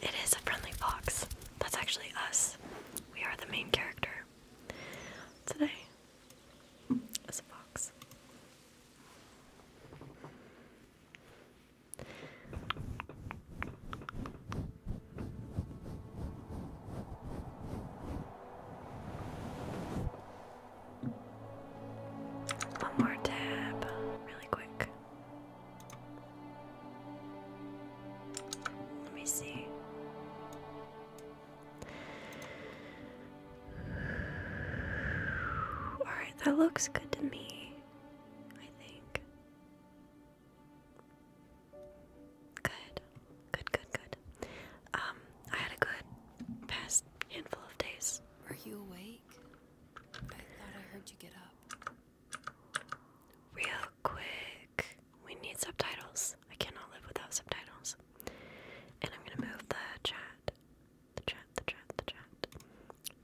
It is a friendly fox. That's actually us. We are the main character. Today is a fox. One more tab, really quick. Let me see. Alright, that looks good to me, I think. Good, good, good, good. Um, I had a good past handful of days. Were you awake? I thought I heard you get up. Real quick, we need subtitles. I cannot live without subtitles. And I'm gonna move the chat, the chat, the chat, the chat,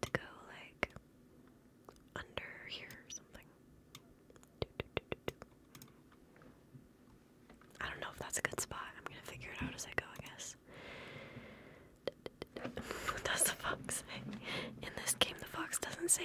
to go like under here or something. Do, do, do, do, do. I don't know if that's a good spot. I'm gonna figure it out as I go, I guess. What does the fox say? In this game, the fox doesn't say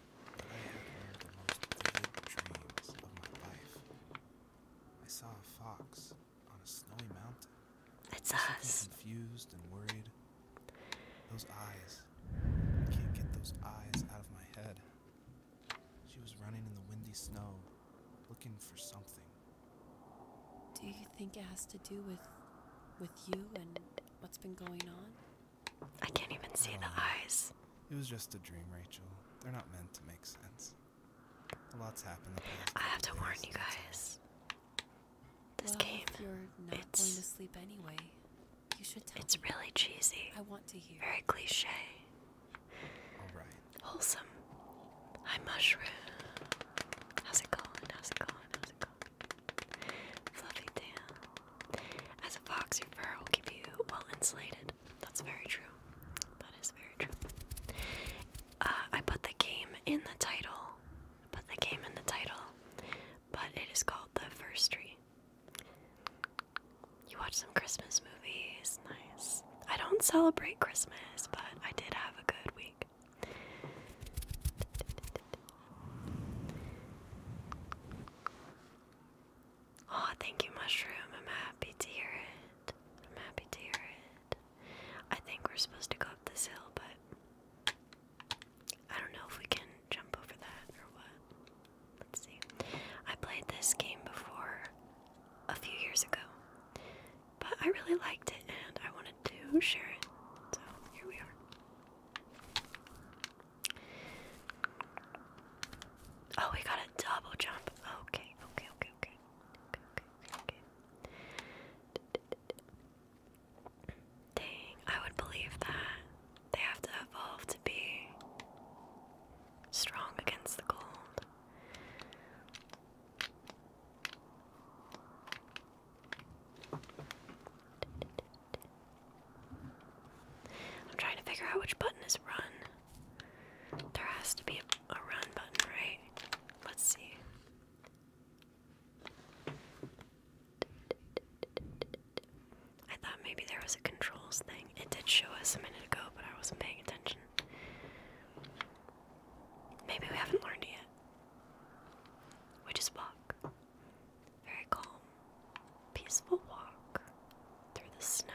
had the most vivid dreams of my life. I saw a fox on a snowy mountain. It's us. Confused and worried. Those eyes. I can't get those eyes out of my head. She was running in the windy snow, looking for something. Do you think it has to do with with you and what's been going on? I can't even see the eyes. It was just a dream, Rachel. They're not meant to make sense. A lot's happened. I have to warn you guys. This well, game, if you're not it's going to sleep anyway. You should tell It's me. really cheesy. I want to hear. Very cliche. All right. Wholesome. Hi, mushroom. How's it going? How's it going? How's it going? Fluffy tan. As a fox, your fur will keep you well insulated that's very true. That is very true. Uh, I put the game in the title. I put the game in the title, but it is called The First Tree. You watch some Christmas movies. Nice. I don't celebrate Christmas, but I did have a good week. Oh, thank you, Mushroom. I'm happy to hear it. I'm happy to hear it. I think we're supposed to go up this hill, but I don't know if we can jump over that or what. Let's see. I played this game before a few years ago, but I really liked it and I wanted to share it. So here we are. Oh, we got a double jump. Okay, okay, okay, okay. Okay, okay, Dang, I would believe that. They have to evolve to be strong against the cold. I'm trying to figure out which button is run. There has to be a, run button, right? Let's see. I thought maybe there was a controls thing. It did show us a minute ago, but I wasn't paying attention. Maybe we haven't learned it yet. We just walk. Very calm, peaceful walk through the snow.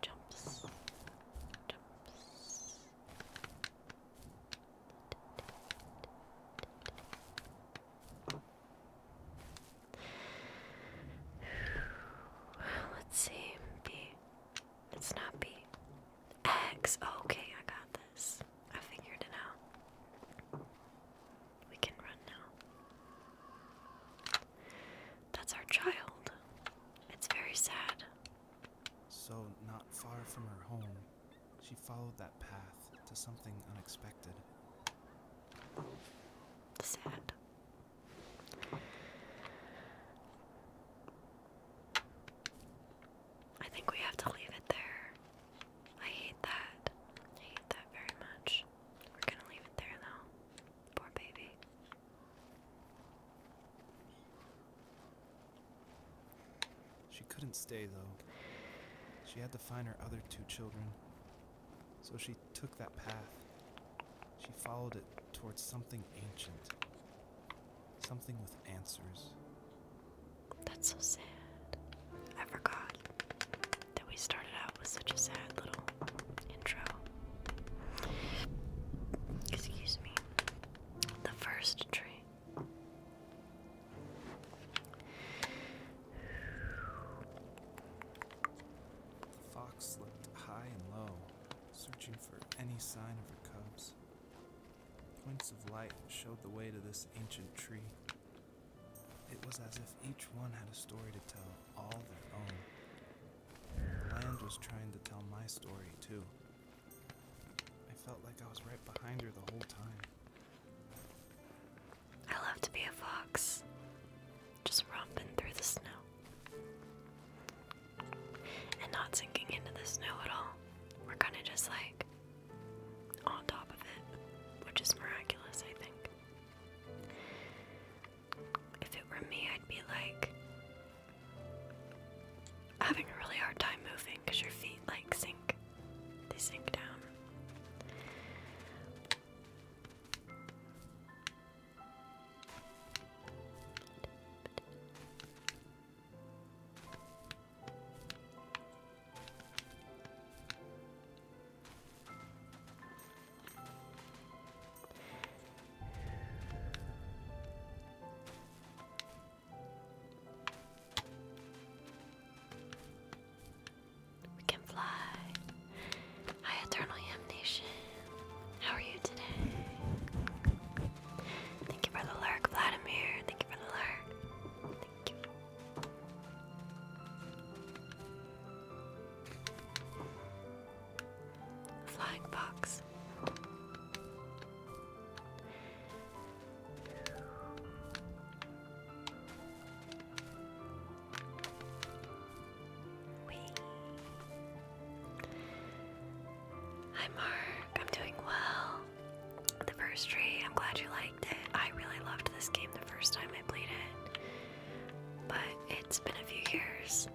Jumps. Jumps. Let's see. B. It's not B. X. okay, I got this. I figured it out. We can run now. That's our child. It's very sad. So, not far from her home, she followed that path to something unexpected. Sad. I think we have to leave it there. I hate that. hate that very much. We're gonna leave it there though. Poor baby. She couldn't stay, though. She had to find her other two children. So she took that path. She followed it towards something ancient, something with answers. That's so sad. I forgot that we started out with such a sad little intro. Excuse me. The first tree. The fox looked high and low, searching for any sign of her cubs. Points of light showed the way to this ancient tree. It was as if each one had a story to tell all their own. The land was trying to tell my story, too. I felt like I was right behind her the whole time. I love to be a fox, just romping through the snow. And not sinking into the snow at all. We're kind of just like on top of it, which is miraculous, I think. If it were me, I'd be like having a really hard time moving because your feet like sink. They sink down. We can fly. Hi, Eternal Yam Nation. How are you today? Thank you for the lurk, Vladimir. Thank you for the lurk. Thank you. Flying fox. Hi Mark, I'm doing well. The first tree, I'm glad you liked it. I really loved this game the first time I played it, but it's been a few years,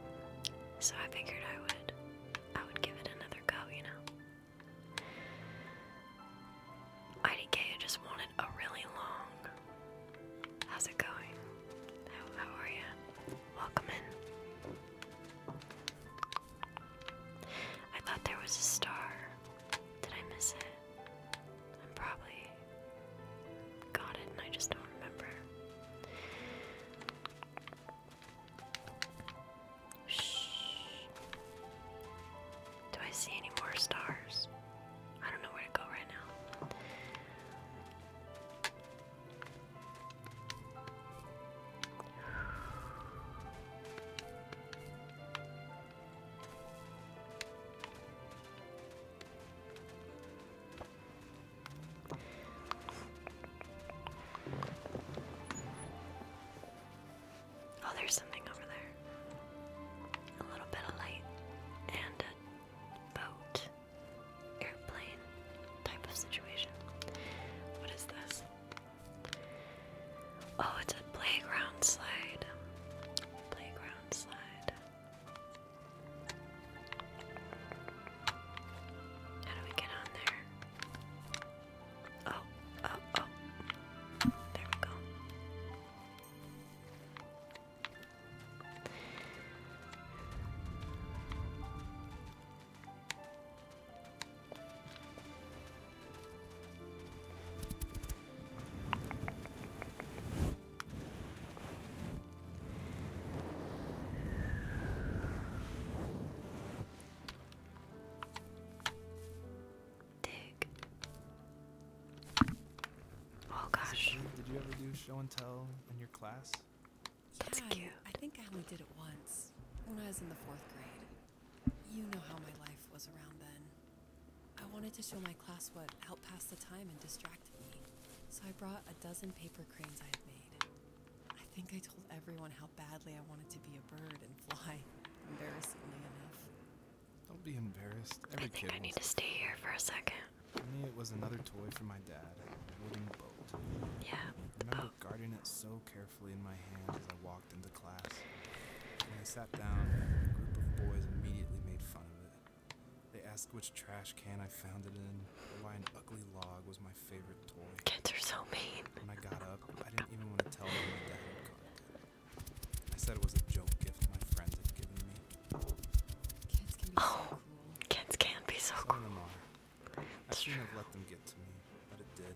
so I figured I would I would give it another go, you know. IDK, I just wanted a really long. How's it going? How, are you? Welcome in. I thought there was a star. Did I miss it? i probably got it and I just don't remember. Shh. Do I see any more stars? I don't know where to go right now. Oh, there's something over there. A little bit of light and a boat, airplane type of situation. What is this? Oh, it's a playground slide. Playground slide. How do we get on there? Oh, oh, oh. There we go. Dig. Oh gosh. did you ever do show and tell in your class? yeah, I think I only did it once when I was in the fourth grade. You know how my life was around then. I wanted to show my class what helped pass the time and distract me, so I brought a dozen paper cranes I had made. I think I told everyone how badly I wanted to be a bird and fly, embarrassingly enough. Don't be embarrassed. Every I kid I need to stay here for a second. For me, it was another toy from my dad, Yeah, I remember boat. Oh. guarding it so carefully in my hand as I walked into class. When I sat down, a group of boys immediately made fun of it. They asked which trash can I found it in, or why an ugly log was my Kids are so mean. When I got up, I didn't even want to tell them my dad had I said it was a joke gift my friends had given me. Kids can be oh, Kids can be so cruel. cool. Of I shouldn't have let them get to me, but it did.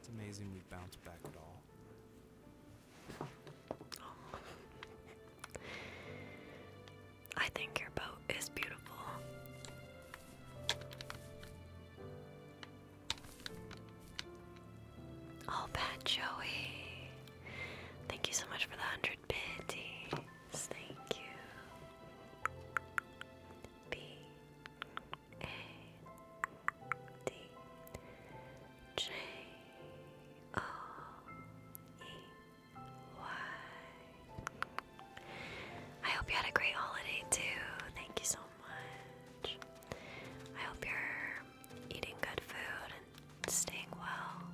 It's amazing we bounced back at all. I think your boat is beautiful. All bad Joey. Thank you so much for the hundred pities. Thank you. B A D J O E Y I hope you had a great holiday too. Thank you so much. I hope you're eating good food and staying well.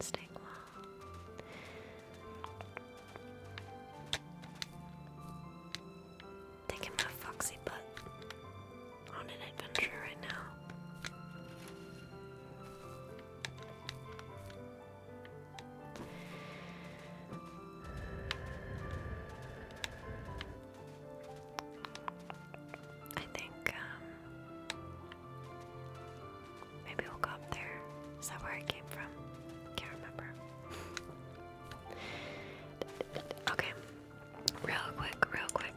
Staying well. Taking my foxy butt on an adventure right now. I think um, maybe we'll go up there. Is that where I came from? Can't remember. okay, real quick, real quick.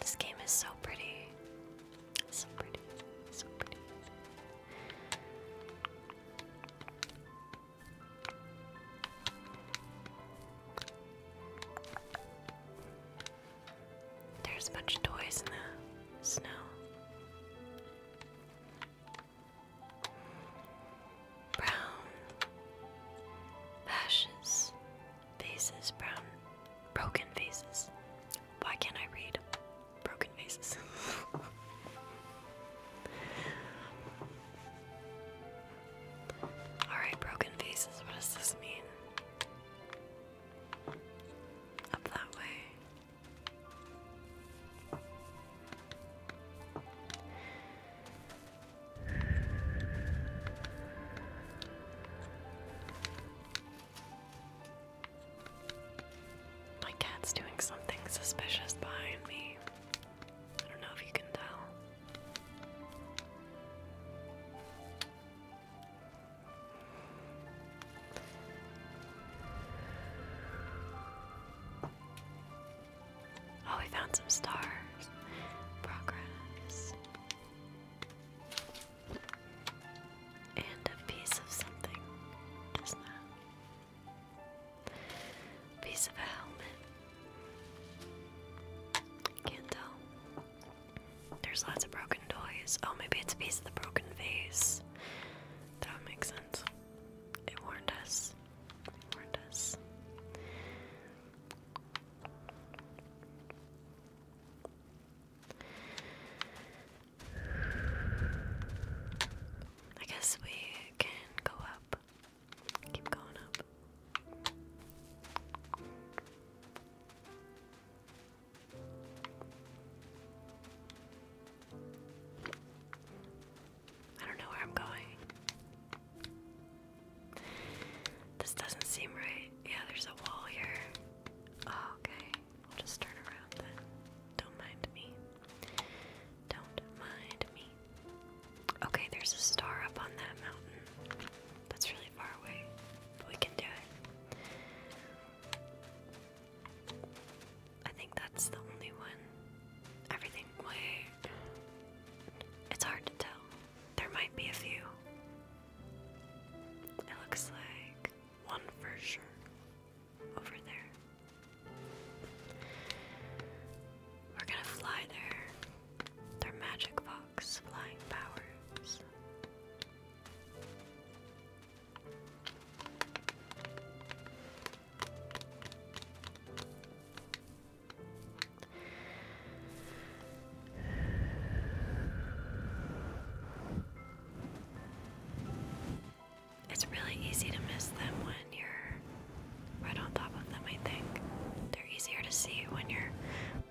This game is so pretty. So pretty. So pretty. There's a bunch of toys in the snow brown ashes faces brown broken faces why can't I read broken faces all right broken faces what does this mean up that way my cat's doing something suspicious behind me. I don't know if you can tell. Oh, we found some stars. Progress. And a piece of something, isn't that? piece of a helmet. Can't tell. There's lots of broken toys. Oh, maybe it's a piece of the broken vase. That makes sense. It warned us. warned us. I guess we can go up. Keep going up. I don't know where I'm going. This doesn't seem right. Yeah, there's a wall here. Oh, okay. I'll just turn around then. Don't mind me. Don't mind me. Okay, there's a star up on that mountain. That's really far away, but we can do it. I think that's the only one. Everything way. It's hard to tell. There might be a few. It looks like one for sure over there. We're gonna fly there. they magic fox flying powers. It's really easy to miss them when you're right on top of them, I think. They're easier to see when you're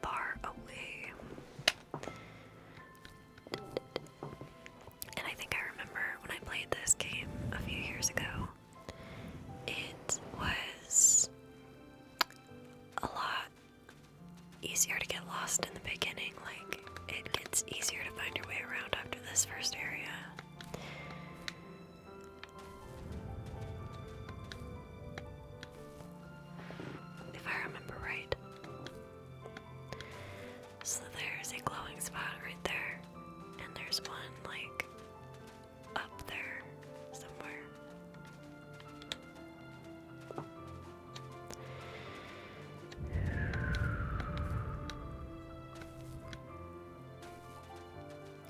far away. And I think I remember when I played this game a few years ago, it was a lot easier to get lost in the beginning. Like, it gets easier to find your way around after this first area. If I remember right. So there's a glowing spot right there and there's one like up there somewhere.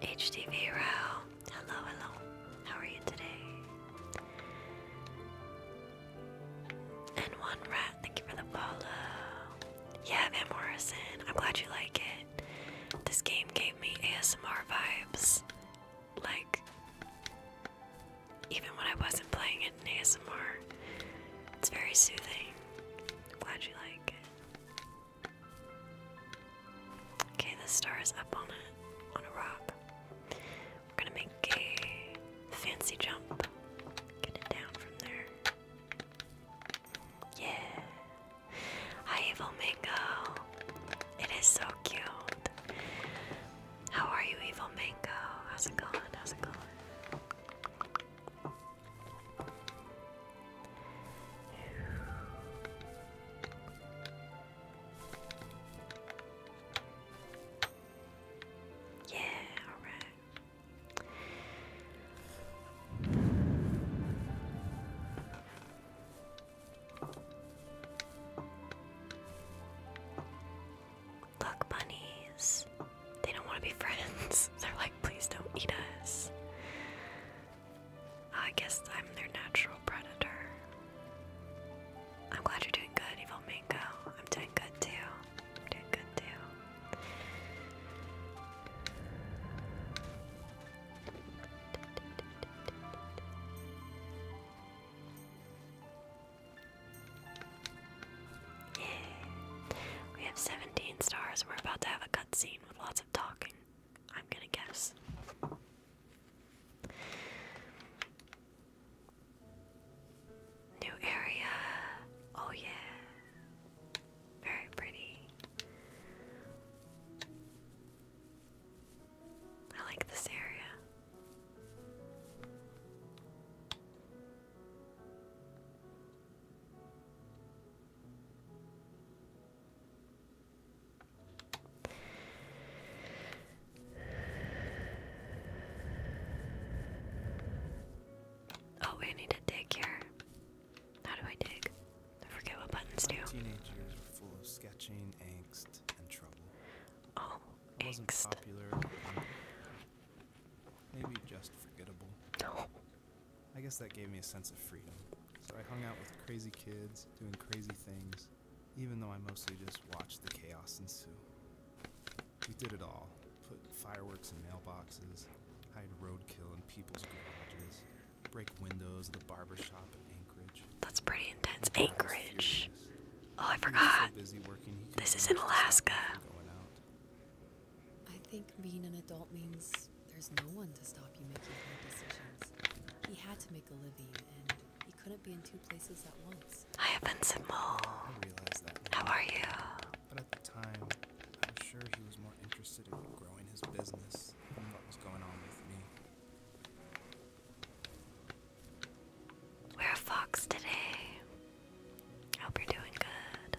HTV Row, hello, hello. How are you today? And one row Thank you for the follow. Yeah, man Morrison. I'm glad you like it. This game gave me ASMR vibes. Like, even when I wasn't playing it in ASMR, it's very soothing. I'm glad you like it. Okay, the star is up on it, on a rock. We're gonna make a fancy jump. Get it down from there. Yeah. Hi, Evil Mango. It is so cute. How are you, Evil Mango? How's it going? How's it going? Yeah, alright. Look, bunnies. They don't want to be friends. They're like, please don't eat us. I guess I'm their natural predator. I'm glad you're doing good, Evil Mango. I'm doing good too. doing good too. Yeah. We have 17 stars. We're about to have a cutscene with lots of talking. I'm gonna guess. New area. Oh, yeah. Very pretty. I like this area. Oh, we need to dig here. How do I dig? forget what buttons do. Teenagers were full of sketching, angst, and trouble. Oh, it wasn't angst. popular. Maybe just forgettable. I guess that gave me a sense of freedom. So I hung out with crazy kids doing crazy things, even though I mostly just watched the chaos ensue. We did it all. Put fireworks in mailboxes, hide roadkill in people's garages, break windows at the barbershop in Anchorage. That's pretty intense. Anchorage. Oh, I forgot. busy working, this is in Alaska. I think being an adult means there's no one to stop you making hard decisions. He had to make a living, and he couldn't be in two places at once. Hi, Invincible. I that How are you? but at the time, I was sure he was more interested in growing his business than what was going on with me. We're a fox today. Hope you're doing good.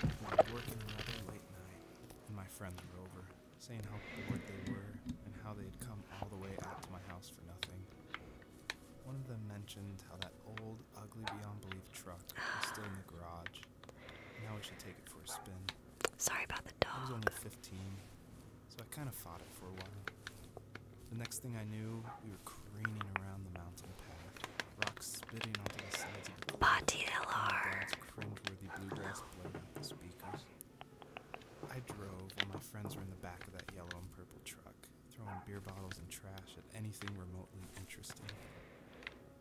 I was working rather late night, and my friends were over, saying how bored they were and how they had come all the way out to my house for nothing. One of them mentioned how that old, ugly beyond belief truck was still in the garage. Now we should take it for a spin. Sorry about the dog. I was only 15, so I kind of fought it for a while. The next thing I knew, we were careening around the mountain path. Rock spitting I drove and my friends were in the back of that yellow and purple truck, throwing beer bottles and trash at anything remotely interesting.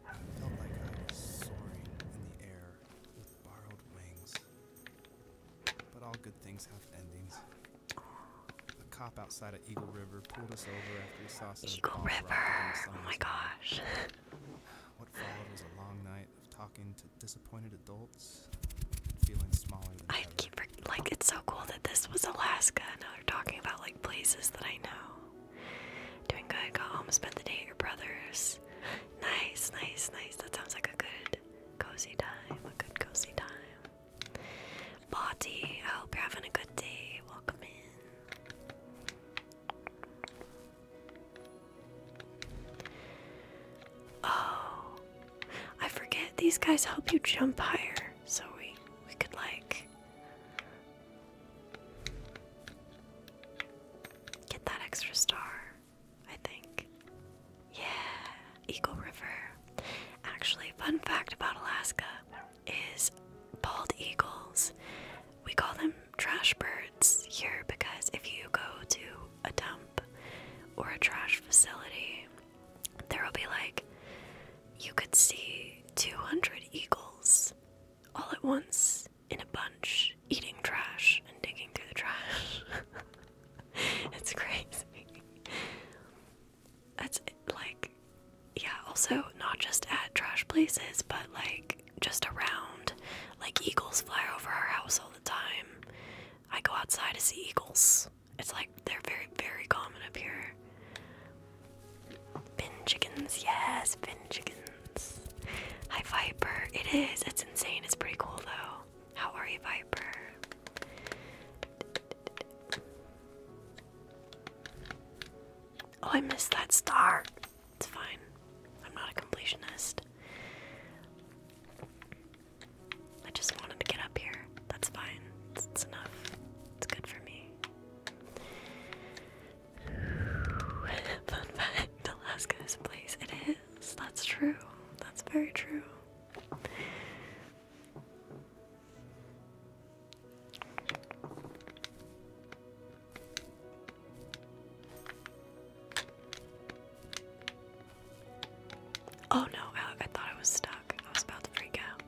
I felt like I was soaring in the air with borrowed wings. But all good things have endings. A cop outside of Eagle River pulled us over after he saw some Eagle Oh my gosh. what followed was a long night of talking to disappointed adults, feeling smaller than I ever. keep like it's so cool that this was Alaska. Now they're talking about like places that I know. Doing good. Got home. Spent the day at your brother's. Nice, nice, nice. That sounds like a good cozy time. A good cozy time. Body, I hope you're having a good day. Welcome in. Oh, I forget these guys help you jump higher, so we we could like get that extra star. I think. Yeah, Eagle River. Actually, fun fact about Alaska is bald eagles. We call them trash birds here because if you go to a dump or a trash facility, there will be like you could see 200 eagles all at once in a bunch eating trash and digging through the trash. it's crazy that's like yeah also not just at trash places but like just around like eagles fly over our house all the time i go outside to see eagles it's like they're very very common up here bin chickens yes bin chickens hi viper it is it's insane it's pretty cool though how are you viper Oh, I missed that star. It's fine. I'm not a completionist. I just wanted to get up here. That's fine. It's, enough. It's good for me. Fun fact Alaska is a place. It is. That's true. That's very true. Oh no, I, thought I was stuck. I was about to freak out.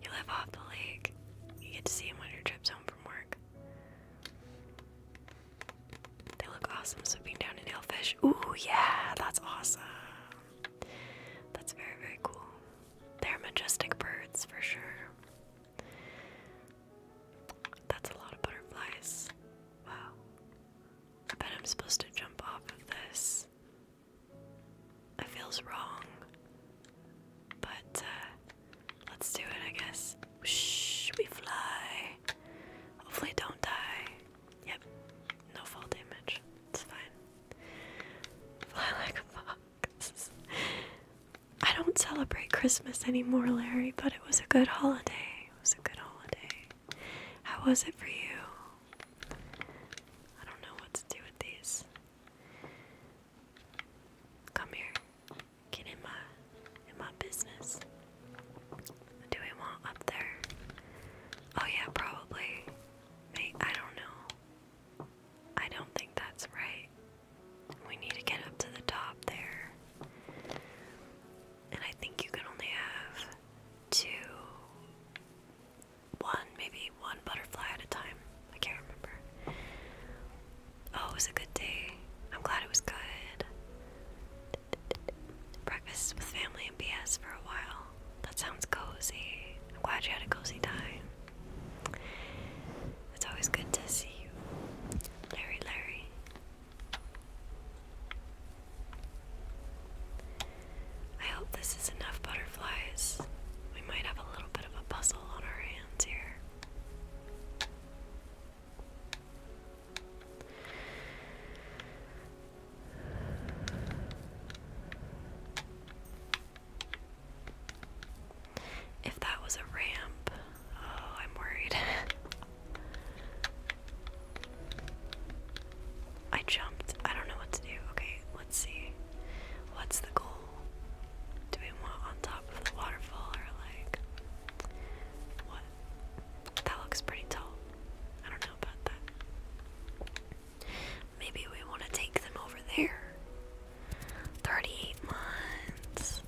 You live off the lake. You get to see them on your trips home from work. They look awesome, so being down in Hellfish. Ooh, yeah, that's awesome. That's very, very cool. They're majestic birds for sure. That's a lot of butterflies. Wow. I bet I'm supposed to jump off of this. It feels wrong. But uh, let's do it, I guess. Shh, we fly. Hopefully, don't die. Yep, no fall damage. It's fine. Fly like a fox. I don't celebrate Christmas anymore, Larry, but it was a good holiday. It was a good holiday. How was it for you? I don't know what to do with these. Come here. Get in my in my business do we want up there? Oh yeah, probably. May I don't know. I don't think that's right. We need to get up to the top there. And I think you can only have two one, maybe one butterfly at a time. I can't remember. Oh, it was a good day. I'm glad it was good breakfast with family and BS for a while. That sounds cozy. I'm glad you had a cozy time. It's always good to see you, Larry. Larry. I hope this is enough butterflies. We might have a little bit of a puzzle on our hands here. If that was a ramp, oh, I'm worried. I jumped. I don't know what to do. Okay, let's see. What's the goal? Do we want on top of the waterfall or like what? That looks pretty tall. I don't know about that. Maybe we want to take them over there. 38 months.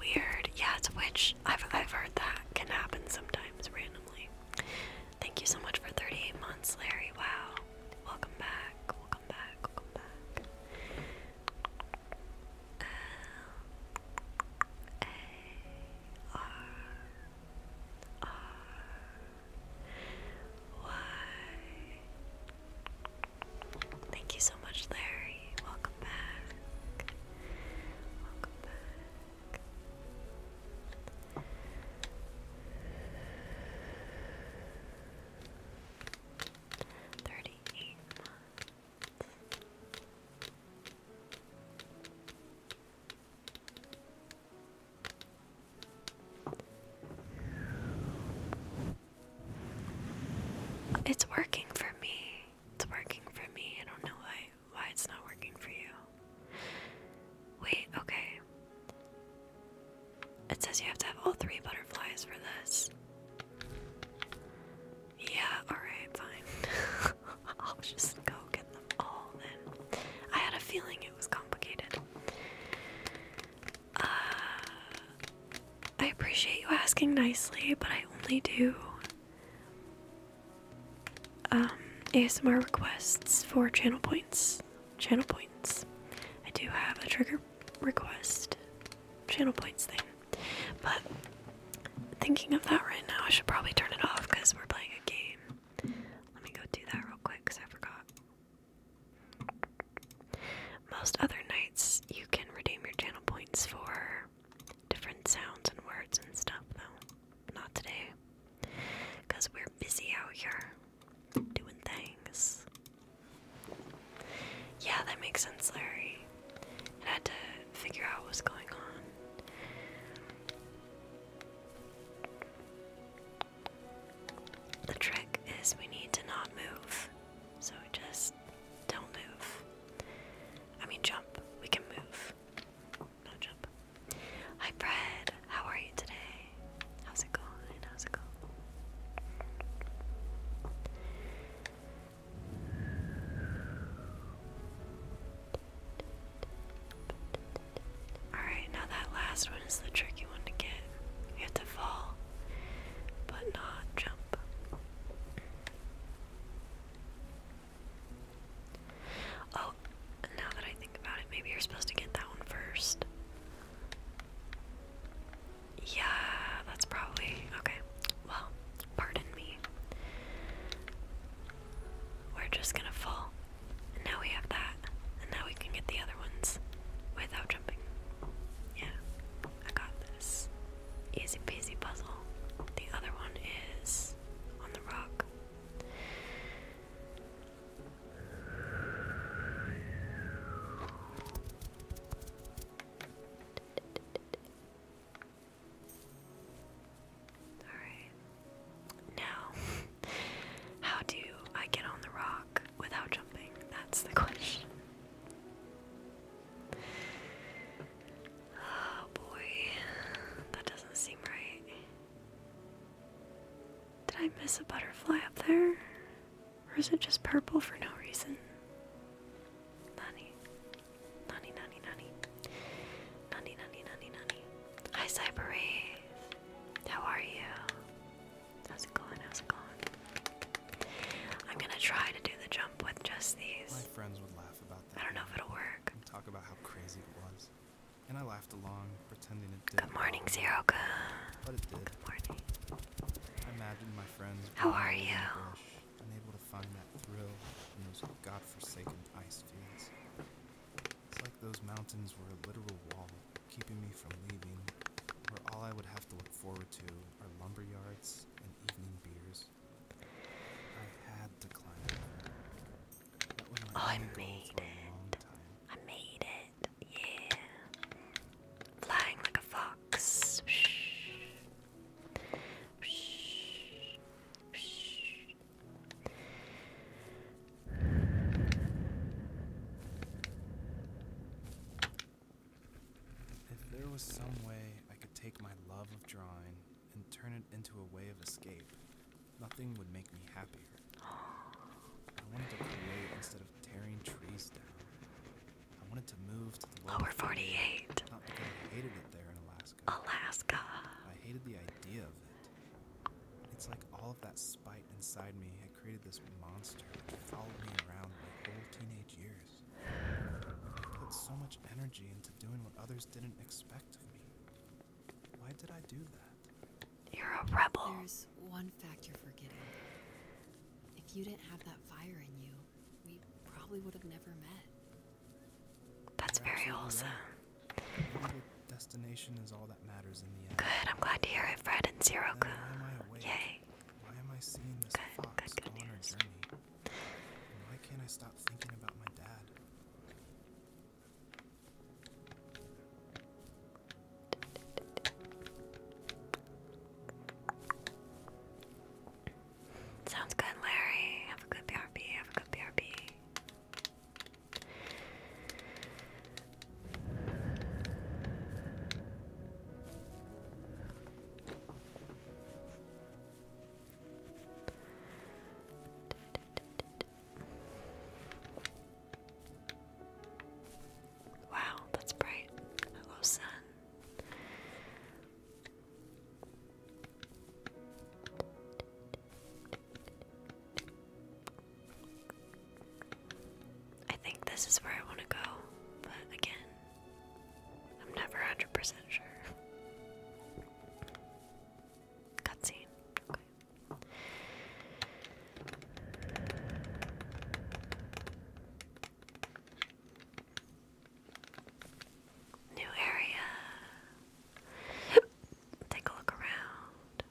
Weird. Yeah, it's a witch. I've, I've heard that can happen sometimes randomly. Thank you so much for 38 months, Larry. Wow. Welcome back. Welcome back. Welcome back. L A R R Y. Thank you so much, Larry. Welcome back. Welcome back. Thirty-eight months. It's working for me. It's working for me. I don't know why why it's not working for you. Wait, okay. It says you have to have all three butterflies for this. Yeah, alright, fine. I'll just go get I had a feeling it was complicated. Uh, I appreciate you asking nicely, but I only do um, ASMR requests for channel points. Channel points. I do have a trigger request channel points thing, but thinking of that right now, I should probably turn it off because we're playing a game. Let me go do that real quick because I forgot. Most other nights, you can redeem your channel points for different sounds and words and stuff, though. Not today. Because we're busy out here doing things. Yeah, that makes sense, Larry. I had to figure out what's going on. The trick is we need to not move. So just don't move. I mean, jump. We can move. No jump. Hi, Fred. How are you today? How's it going? How's it going? Alright, now that last one is the tricky one to get. You have to fall, but not jump. Oh, now that I think about it, maybe you're supposed to get that one first. Yeah, that's probably okay. Well, pardon me. We're just gonna fall. And now we have that. And now we can get the other ones without jumping. Yeah, I got this. Easy peasy puzzle. The other one is on the rock. Alright. Now, how do I get on the rock without jumping? That's the question. Oh boy, that doesn't seem right. Did I miss a butterfly up there? Or is it just purple for no reason? Nani. Nani, nani, nani. Nani, nani, nani, nani. Hi, Cyber how are you? How's it going? How's it going? I'm gonna try to do the jump with just these. My friends would laugh about that. I don't know if it'll work. And talk about how crazy it was, and I laughed along, pretending it did. Good morning, Zeroka. But it did. Good morning. I imagined my friends. How are you? Bush, unable to find that thrill in those godforsaken ice fields. It's like those mountains were a literal wall keeping me from leaving, where all I would have to look forward to are lumber yards and evening beers. I had to climb over. Oh, I made it. I made it. Yeah. Flying like a fox. If there was some way I could take my love of drawing and turn it into a way of escape, nothing would make me happier. I wanted to create instead of tearing trees down. I wanted to move to the lower 48. I hated it there in Alaska. Alaska. I hated the idea of it. It's like all of that spite inside me had created this monster that followed me around my whole teenage years. I put so much energy into doing what others didn't expect of me. Why did I do that? You're a rebel. There's one fact you're forgetting. If you didn't have that fire in you, we probably would have never met. That's very awesome. Good, I'm glad to hear it, Fred and Zero. Why am I Yay. Why am I seeing this good, fox good, good news. And why can't I stop thinking about my dad? Have a good BRB. Have a good BRB. Wow, that's bright. Hello, sun. I think this is where I want to go, but again, I'm never 100% sure. Cutscene. Okay. New area. Take a look around.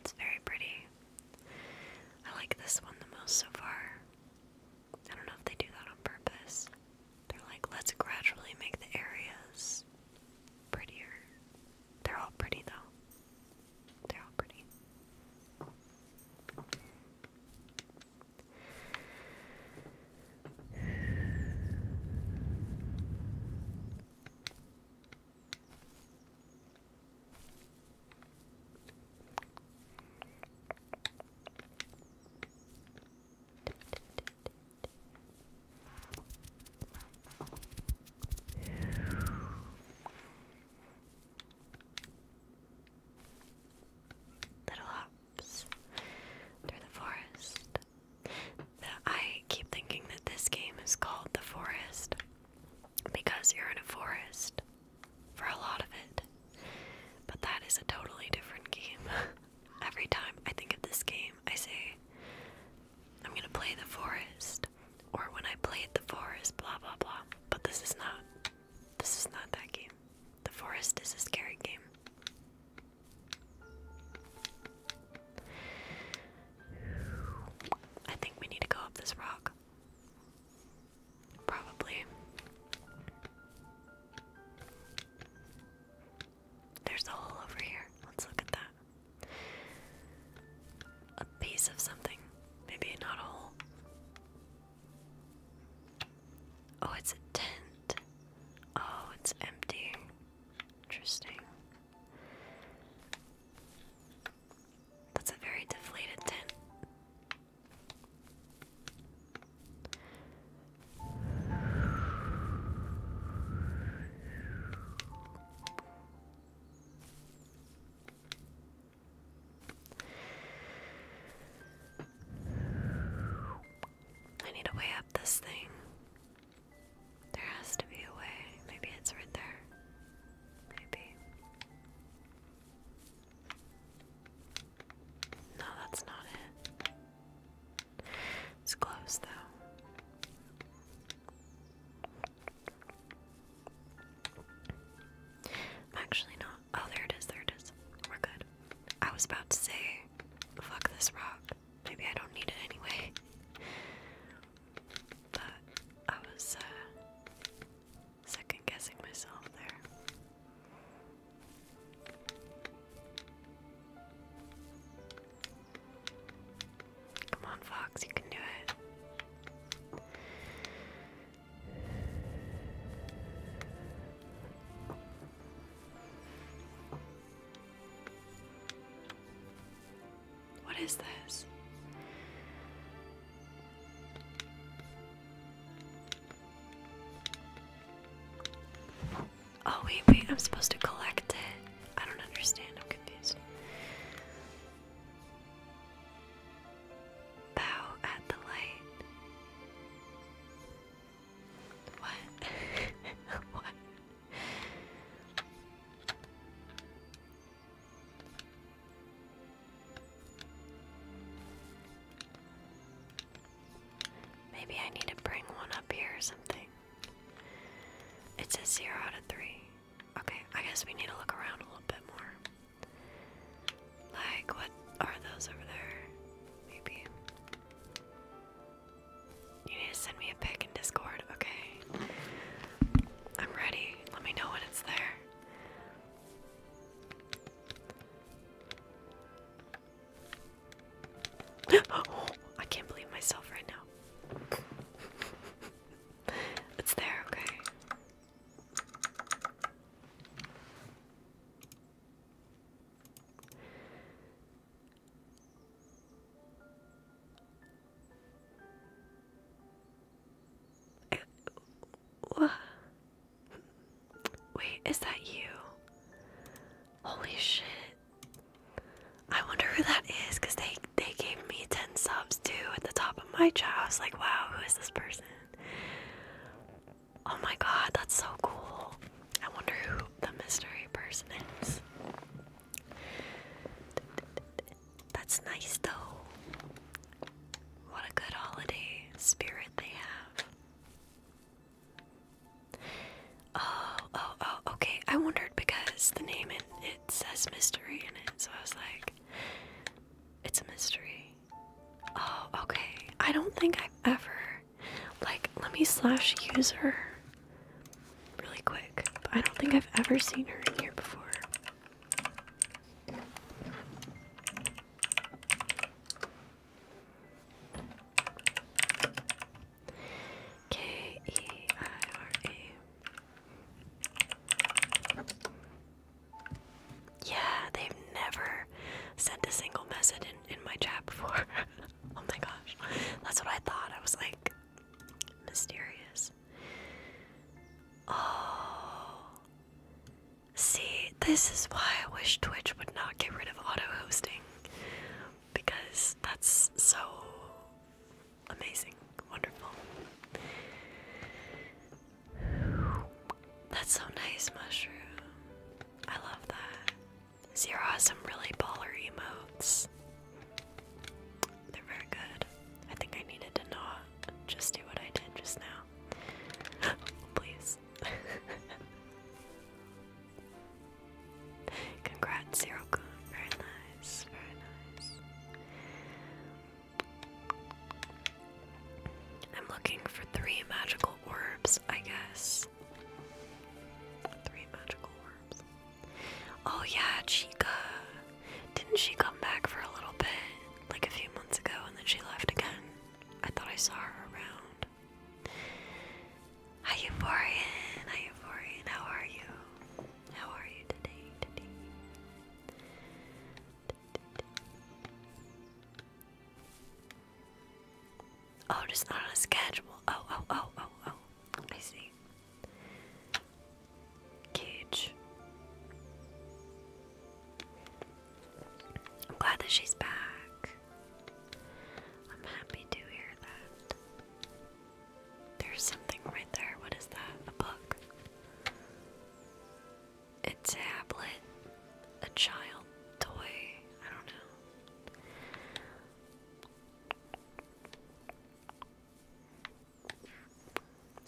It's very pretty. I like this one the most so far. I don't know if they do that on purpose. They're like, let's gradually make the areas prettier. They're all pretty though. They're all pretty. Little hops through the forest. I keep thinking that this game is called The Forest because you're in a forest for a lot of it. But that is a totally different game. Every time I think of this game, I say, I'm gonna play The Forest. Or when I played The Forest, blah blah blah. But this is not. This is not that game. The Forest is a scary game. I think we need to go up this rock. Probably. There's a hole over here. Let's look at that. A piece of something. Maybe not a hole. Oh, it's a tent. Oh, it's empty. Interesting. That's a very deflated tent. I need to weigh up this thing. There has to be a way. Maybe it's right there. Maybe. No, that's not it. It's close, though. actually not. Oh, there it is. There it is. We're good. I was about to say, fuck this rock. Maybe I don't need it anyway that I was uh, second guessing myself there. Come on, Fox, you can do it. What is this? Oh, wait, wait, I'm supposed to collect it. I don't understand, I'm confused. Bow at the light. What? what? Maybe I need to bring one up here or something. It's a zero out of three. Okay, I guess we need to look around a little bit more. Like, what are those over there? Maybe. You need to send me a pic in Discord, okay? I'm ready. Let me know when it's there. I can't believe myself right now. it's there, okay. Wait, is that you? Holy shit. I wonder who that is because they, they gave me 10 subs too at the top of my chat. I was like, wow, who is this person? Oh my god, that's so cool. I wonder who the mystery person is. That's nice though. What a good holiday spirit they have. Oh, oh, oh, okay. I wondered because the name it, says mystery in it, so I was like, it's a mystery. Oh, okay. I don't think I've ever like let me slash user really quick. I don't think I've ever seen her in here before. K E I R A. Yeah, they've never sent a single message in, in my chat before. oh my gosh. That's what I thought. I was like mysterious. Oh. See, this is why I wish Twitch would not get rid of auto hosting. Because that's so amazing. Wonderful. That's so nice, Mushroom. I love that. Zero has some really ballery emotes. They're very good. I think I needed to not just do what I did just now. Please. Congrats, Zerokun. Very nice. Very nice. I'm looking for three magical orbs, I guess. Three magical orbs. Oh yeah, Chica. Didn't she come back for a little bit, like a few months ago, and then she left again? I thought I saw her around. Hi, Euphorian. Hi, Euphorian. How are you? How are you today? Today. Oh, just not on a schedule. Oh, oh, oh, oh, oh. I see. Cage. I'm glad that she's back. I'm happy to hear that. There's something right there. What is that? A book. A tablet. A child toy. I don't know.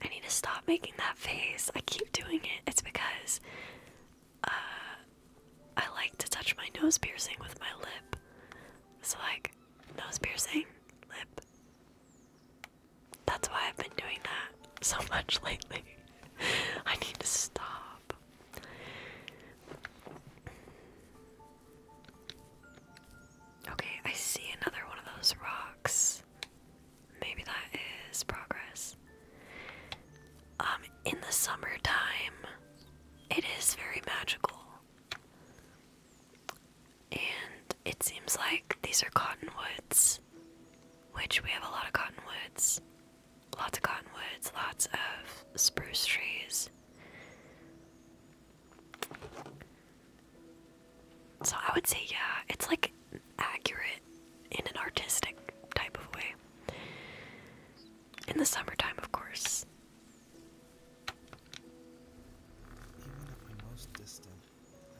I need to stop making that face. I keep doing it. It's because uh, I like to touch my nose piercing with my lip. So, like, nose piercing, lip. That's why I've been doing that so much lately. I need to stop. Okay, I see another one of those rocks. Maybe that is progress. Um, in the summertime, it is very magical. And it seems like these are cottonwoods, which we have a lot of cottonwoods. Lots of cottonwoods, lots of spruce trees. So I would say, yeah, it's like accurate in an artistic type of way. In the summertime, of course. Even if we most distant,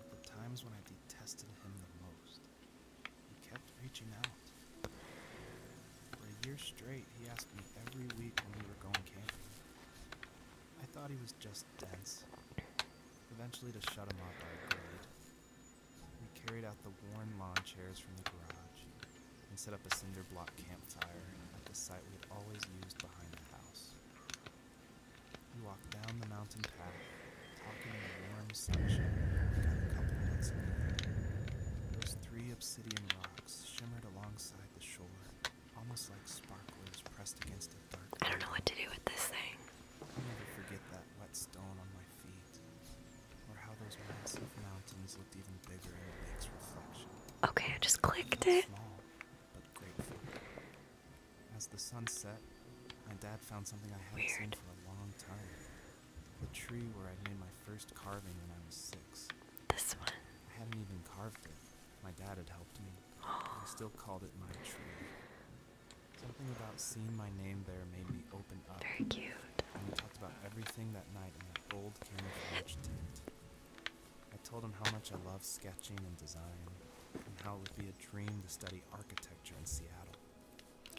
at the times when I detested him the most, he kept reaching out. For a year straight, he asked me every week when we were going camping. I thought he was just Eventually, to shut him up, I agreed. We carried out the worn lawn chairs from the garage and set up a cinder block campfire at the site we'd always used behind the house. three obsidian rocks shimmered alongside the shore, almost like sparklers pressed against a dark. I don't know what to do with this thing. Okay, I just clicked it. As the sun set, my dad found something I hadn't Weird. seen for a long time. The tree where I made my first carving when I was six. This one. I hadn't even carved it. My dad had helped me. I still called it my tree. Something about seeing my name there made me open up. Very cute. And we talked about everything that night in that old camouflage tent. I told him how much I loved sketching and design, and how it would be a dream to study architecture in Seattle.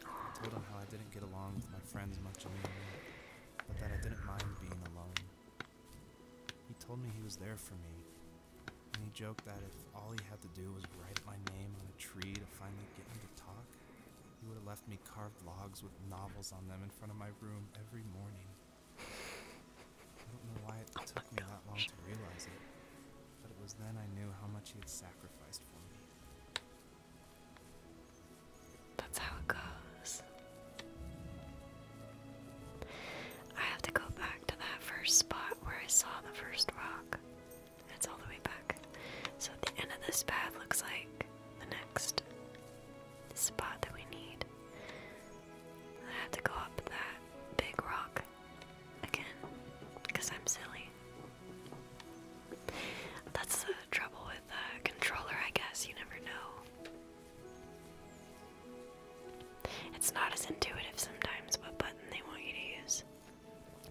I told him how I didn't get along with my friends much in New York, but that I didn't mind being alone. He told me he was there for me, and he joked that if all he had to do was write my name on a tree to finally get me to talk, he would have left me carved logs with novels on them in front of my room every morning. I don't know why it took me gosh. that long to realize it, but it was then I knew how much he had sacrificed for me. That's how it goes. I have to go back to that first spot where I saw the first rock. It's all the way back. So the end of this path looks like the next spot that we need. I have to go up that big rock again because I'm silly. That's the trouble with a controller, I guess. You never know. It's not as intuitive sometimes what button they want you to use.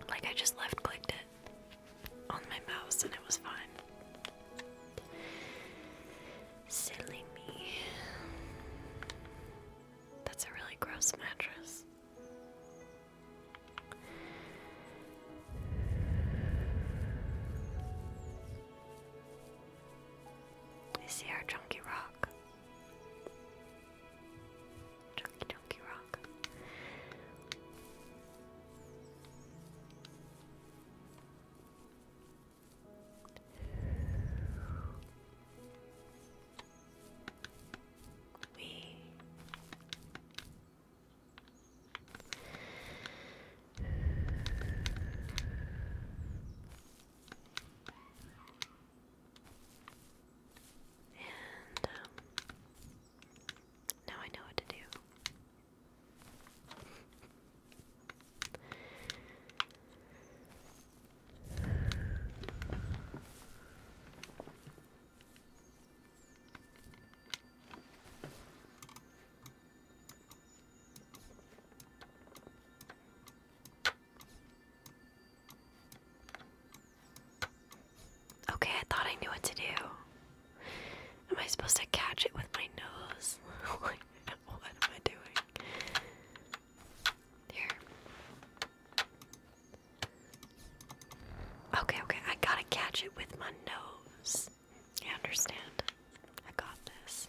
Like I just left clicked it on my mouse and it was fine. Silly me. That's a really gross mattress. They see our junkie rock. Chunky Chunky Rock. We and um, now I know what to do. Okay, I thought I knew what to do. Am I supposed to catch it with my nose? what am I doing? Here. Okay, okay, I gotta catch it with my nose. I understand. I got this.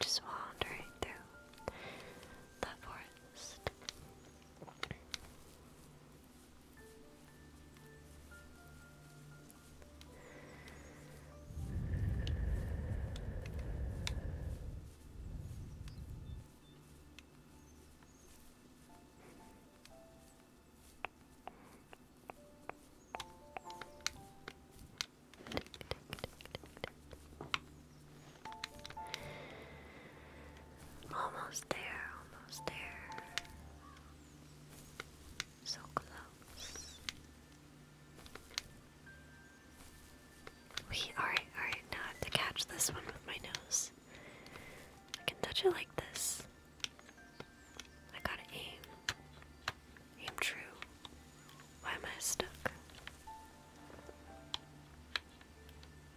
Just wandering through the forest. Almost there, almost there. So close. We alright, alright, now I have to catch this one with my nose. I can touch it like this. I gotta aim. Aim true. Why am I stuck?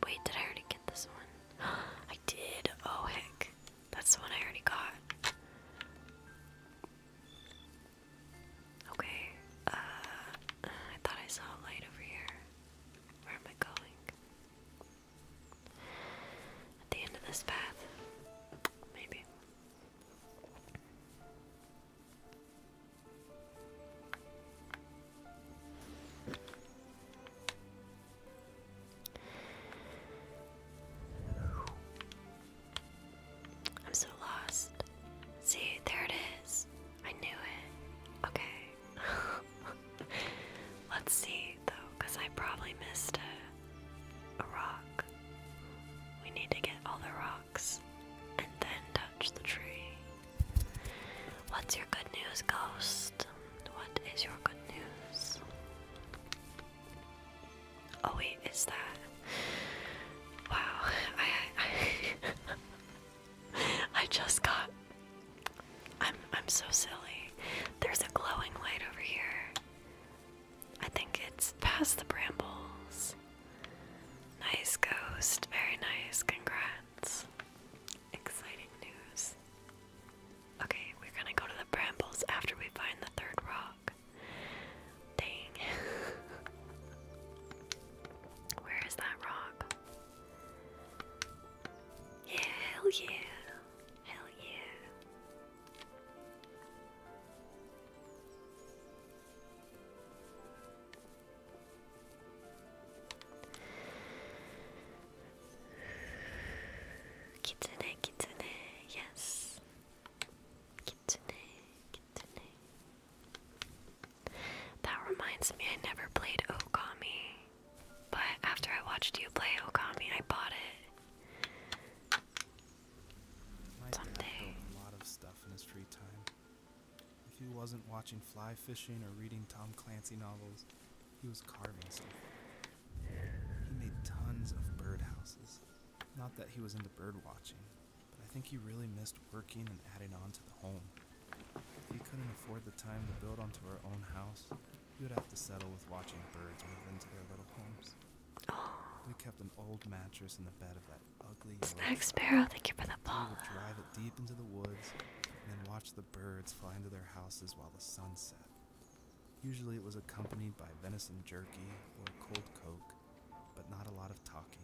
Wait, did I already get this one? I did. Oh heck. That's the one I already got. Okay, uh, I thought I saw a light over here. Where am I going? At the end of this path, maybe. I'm so lost. See, there it is. I knew it. Okay. Let's see though, because I probably missed a, rock. We need to get all the rocks and then touch the tree. What's your good news, ghost? What is your good news? Oh wait, is that? Wow, I just got I'm I'm so silly. There's a glowing light over here. I think it's past the brambles. Nice ghost. Very nice. Congrats. Exciting news. Okay, we're gonna go to the brambles after we find the third rock. Dang. Where is that rock? Yeah, hell yeah. Hell yeah. Kitsune, kitsune, yes. Kitsune, kitsune. That reminds me, I never played Okami, but after I watched you play Okami, I bought it. My Someday. A lot of stuff in his free time. If he wasn't watching fly fishing or reading Tom Clancy novels, he was carving stuff. He made tons of birdhouses. Not that he was into bird watching, but I think he really missed working and adding on to the home. If he couldn't afford the time to build onto our own house, he would have to settle with watching birds move into their little homes. We kept an old mattress in the bed of that ugly. Snag Sparrow, thank you for the ball. We would drive it deep into the woods and then watch the birds fly into their houses while the sun set. Usually it was accompanied by venison jerky or cold coke, but not a lot of talking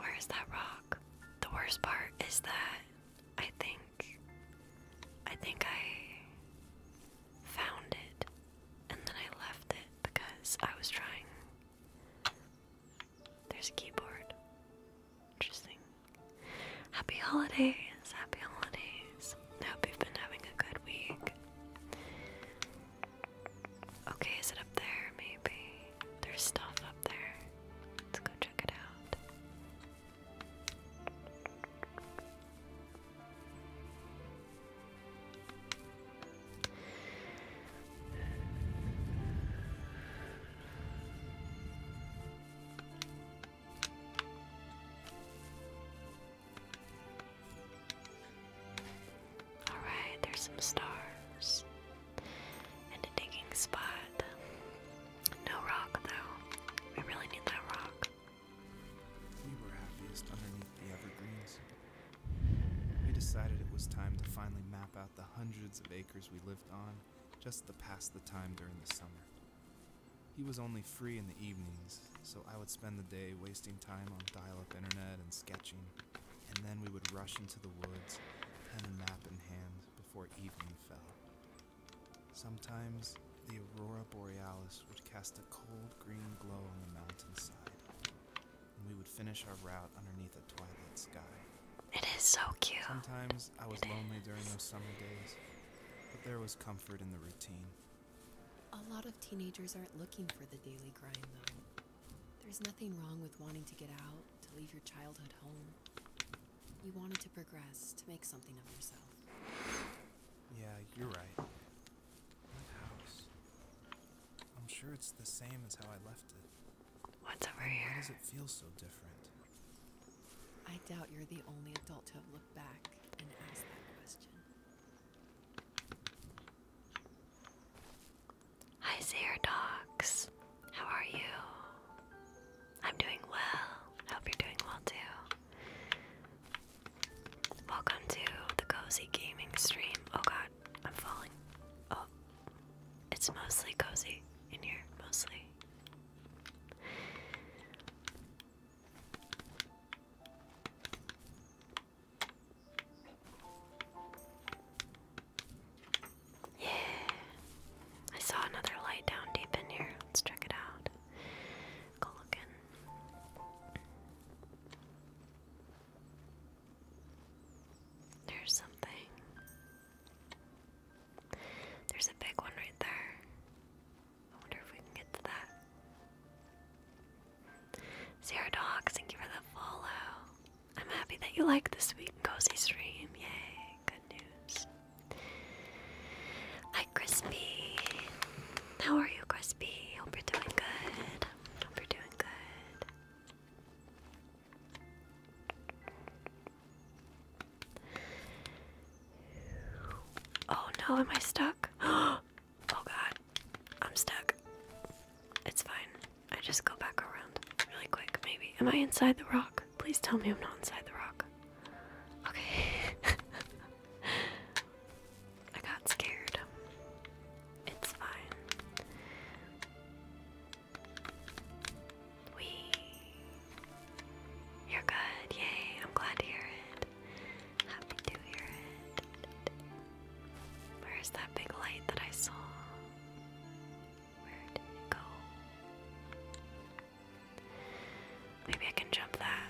Where is that rock? The worst part is that I think I think I found it and then I left it because I was trying. There's a keyboard. Interesting. Happy holidays. Happy holidays. I hope you've been having a good week. Okay, is it up there? Maybe. There's stuff up there. Let's go check it out. Alright, there's some stars. And a digging spot. No rock, though. We really need that rock. We were happiest underneath the evergreens. We decided it was time to finally map out the hundreds of acres we lived on just to pass the time during the summer. He was only free in the evenings, so I would spend the day wasting time on dial up internet and sketching and then we would rush into the woods, pen and map in hand, before evening fell. Sometimes the aurora borealis would cast a cold green glow on the mountainside, and we would finish our route underneath a twilight sky. It is so cute. Sometimes I was lonely during those summer days, but there was comfort in the routine. A lot of teenagers aren't looking for the daily grind, though. There's nothing wrong with wanting to get out, to leave your childhood home. You wanted to progress, to make something of yourself. Yeah, you're right. That house. I'm sure it's the same as how I left it. What's over here? Why does it feel so different? I doubt you're the only adult to have looked back and asked that question. Hi, Sayer Dogs. How are you? I'm doing well. I hope you're doing well too. Welcome to the Cozy Gaming Stream. Oh god, I'm falling. Oh, it's mostly cozy in here, mostly. Yeah. I saw another light down deep in here. Let's check it out. Go looking. There's something. There's a big one right there. I wonder if we can get to that. Sierra Dogs, thank you for the follow. I'm happy that you like this sweet in cozy stream. Yay, good news. Hi, Crispy. How are you, Crispy? Hope you're doing good. Hope you're doing good. Oh no, am I stuck? oh god, I'm stuck. It's fine. I just go back around really quick, maybe. Am I inside the rock? Please tell me I'm not inside the rock. Okay. I got scared. It's fine. We. You're good. Yay. I'm glad to hear it. Happy to hear it. Where is that big light that I saw? Where did it go? Maybe I can jump that.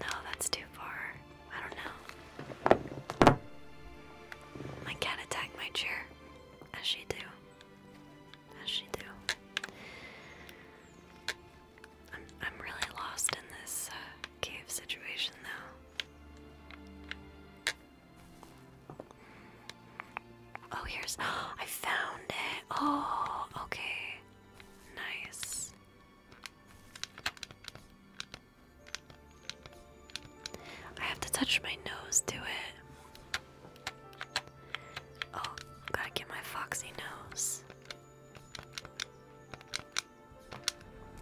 No, that's too far. I don't know. My cat attacked my chair. As she do. As she do. I'm really lost in this uh, cave situation though. Oh, here's. I found it. Oh, okay. Nice. I have to touch my nose to it. Oh, gotta get my foxy nose.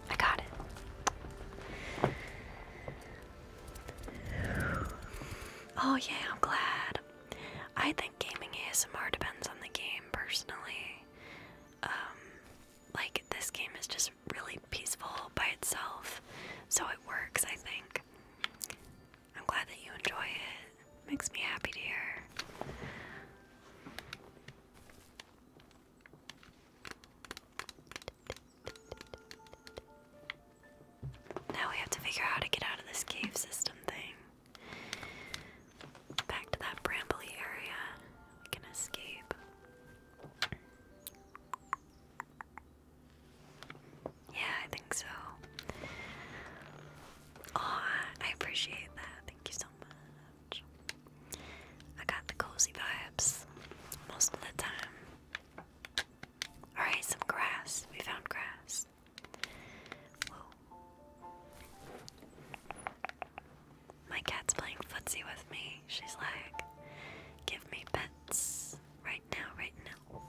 I got it. Oh, yeah, I'm glad. I think gaming ASMR depends on the game, personally. Um, like, this game is just really peaceful by itself, so it works, I think. I'm glad that you enjoy it. Makes me happy to hear. Now we have to figure out how to get out of this cave system thing. Back to that brambly area. We can escape. Yeah, I think so. Aw, I appreciate that. Thank you so much. I got the cozy vibes most of the time. Alright, some grass. We found grass. Whoa. My cat's playing footsie with me. She's like, give me pets. Right now, right now.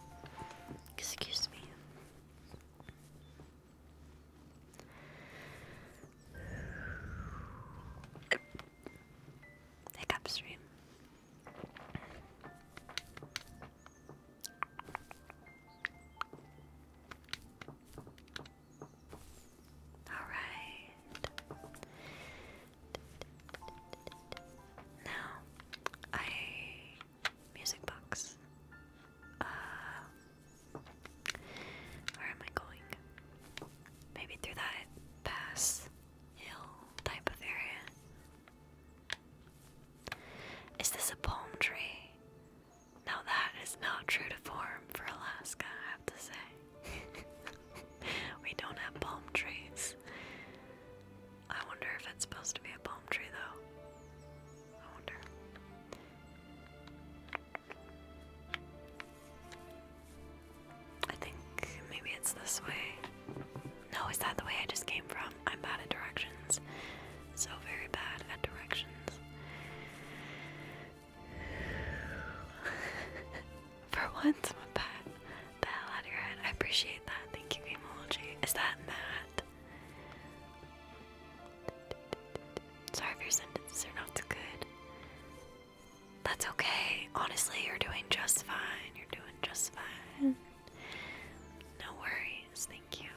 Excuse me like upstream. All right. Now, I music box. Uh, where am I going? Maybe through that pass hill type of area. Is this a palm tree? Now that is not true to form for Alaska, I have to say. we don't have palm trees. I wonder if it's supposed to be a palm tree though. I wonder. I think maybe it's this way. No, is that the way I just came from? I'm bad at directions. So very bad at directions. For once, I'm bad the hell out of your head. I appreciate that. Thank you, emoji. Is that Matt? Sorry if your sentences are not so good. That's okay. Honestly, you're doing just fine. You're doing just fine. No worries. Thank you.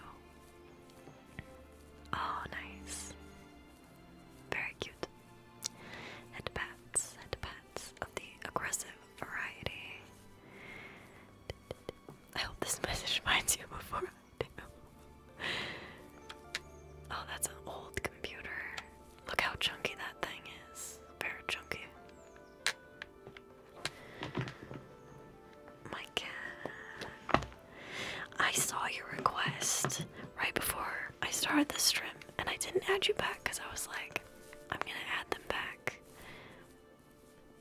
Oh, nice. Very cute. Head pats, head pats of the aggressive variety. I hope this message reminds you before Oh, that's an old computer. Look how chunky that thing is. Very chunky. My cat. I saw your request right before I started the stream, and I didn't add you back because I was like, I'm gonna add them back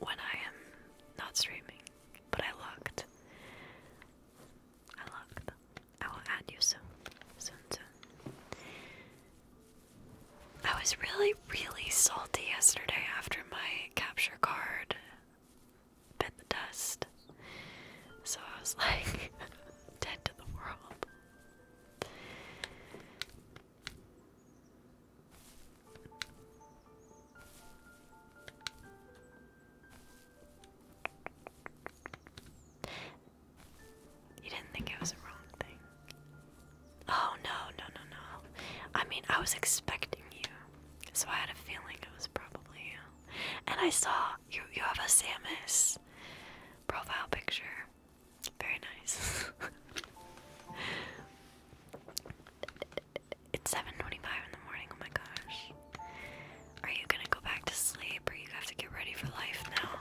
when I am not streaming. But I looked. I looked. I will add you soon. Soon, soon. I was really, really salty yesterday after my capture card bit the dust. So I was like, dead to the world. You didn't think it was a wrong thing. Oh no, no, no, no. I mean, I was expecting you, so I had a feeling it was probably you. And I saw you. You have a Samus profile picture. Very nice. it's 7:25 in the morning. Oh my gosh. Are you gonna go back to sleep, or you have to get ready for life now?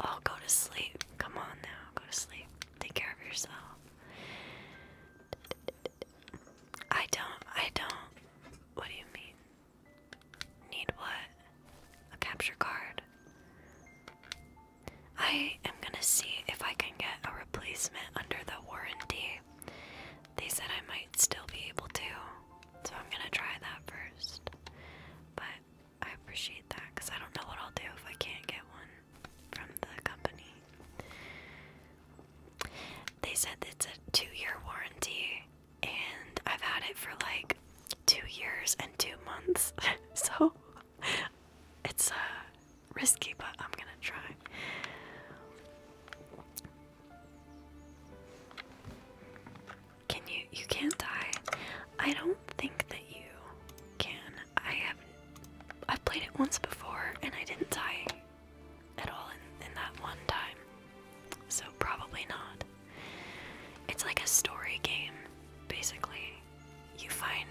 Oh, go to sleep. Come on now. Go to sleep. Take care of yourself. I don't. I don't. What do you mean? Need what? A capture card. I am gonna see if I can get a replacement under the warranty. They said I might still be able to, so I'm gonna try that first. But I appreciate that because I don't know what I'll do if I can't get one from the company. They said it's a two year warranty, and I've had it for like two years and two months. so it's uh, risky, but I'm gonna try. Can you? You can't die. I don't think that you can. I have. I've played it once before, and I didn't die at all in, in that one time. So probably not. It's like a story game, basically. You find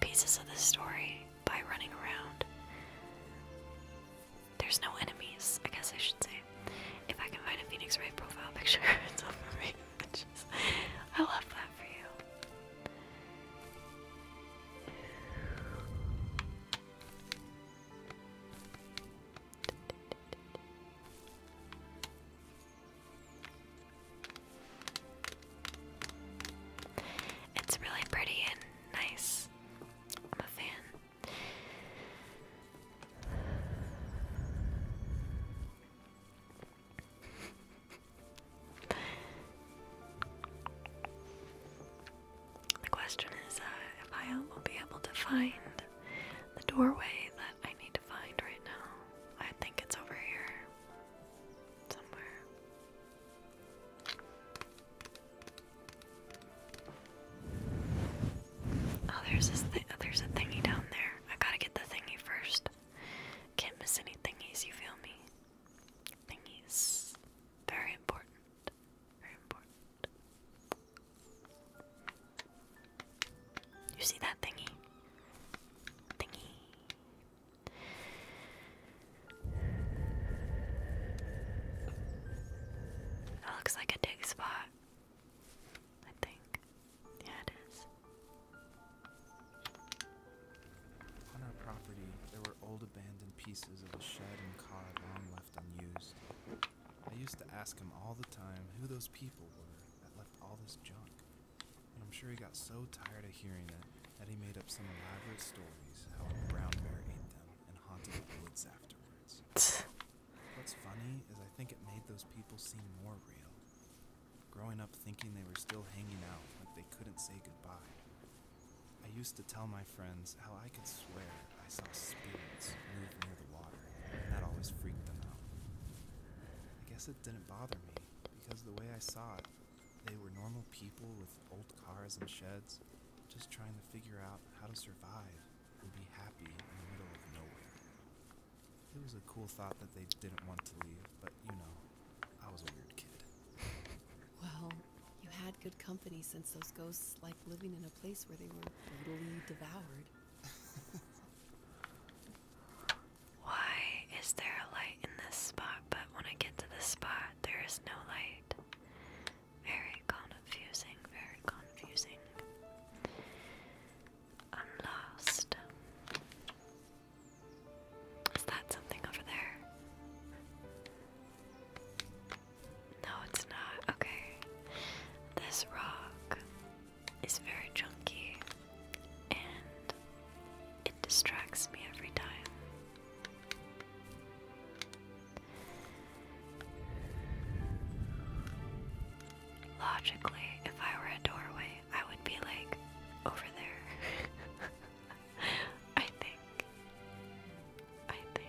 pieces of the story by running around. There's no enemies, I guess I should say. If I can find a Phoenix Wright profile picture it's over me. I love that for you. It's really pretty and nice. I'm a fan. The question is uh, if I will be able to find the doorway that I need to find right now. I think it's over here somewhere. Oh, there's this thing. There's a thingy down there. I gotta get the thingy first. Can't miss any thingies. You feel me? Thingies, very important. Very important. You see that thingy? Thingy. That looks like a dig spot. I think. Yeah, it is. On our property, there were old abandoned pieces of a shed and car long left unused. I used to ask him all the time who those people were that left all this junk. And I'm sure he got so tired of hearing it that he made up some elaborate stories how a brown bear ate them and haunted the woods afterwards. What's funny is I think it made those people seem more real. Growing up thinking they were still hanging out like they couldn't say goodbye. I used to tell my friends how I could swear I saw spirits move near the water, and that always freaked them out. I guess it didn't bother me, because the way I saw it, they were normal people with old cars and sheds, just trying to figure out how to survive and be happy in the middle of nowhere. It was a cool thought that they didn't want to leave, but you know, I was a weird kid. Well, you had good company since those ghosts like living in a place where they were brutally devoured. Why is there a light in this spot, but when I get to this spot, there is no light? Very confusing, very confusing. I'm lost. Is that something over there? No, it's not. Okay. This rock is very chunky and it distracts me every time. Logically, if I were a doorway, I would be like over there. I think. I think.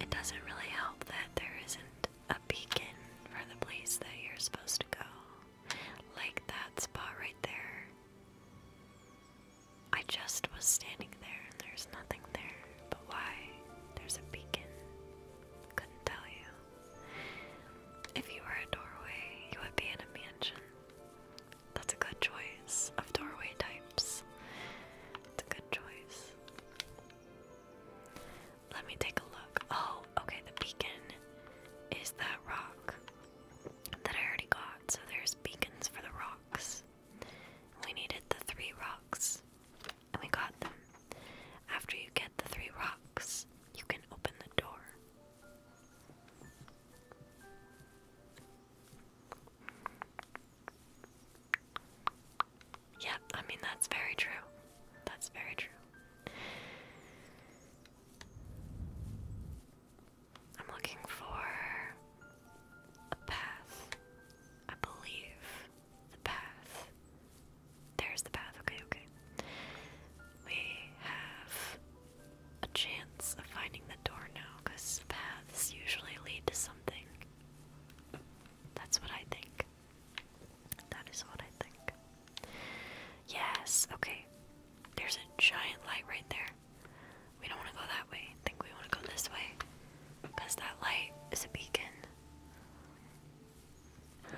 It doesn't really help that there isn't a beacon for the place that you're supposed to go. Like that spot right there. I just was standing there and there's nothing there. But why? There's a beacon. Couldn't tell you. If you were a doorway, you would be in a mansion. That's a good choice of doorway types. It's a good choice. Let me take a look. Oh, okay, the beacon is that rock that I already got. So there's beacons for the rocks. We needed the three rocks, and we got them. After you get the three rocks, you can open the door. Yeah, I mean, that's very true. That's very true. I'm looking for a path. I believe the path. There's the path. Okay, okay. We have a chance of finding the door now because paths usually lead to something. That's what I think. That is what I think. Yes, okay. There's a giant light right there. We don't want to go that way. I think we want to go this way. Because that light is a beacon.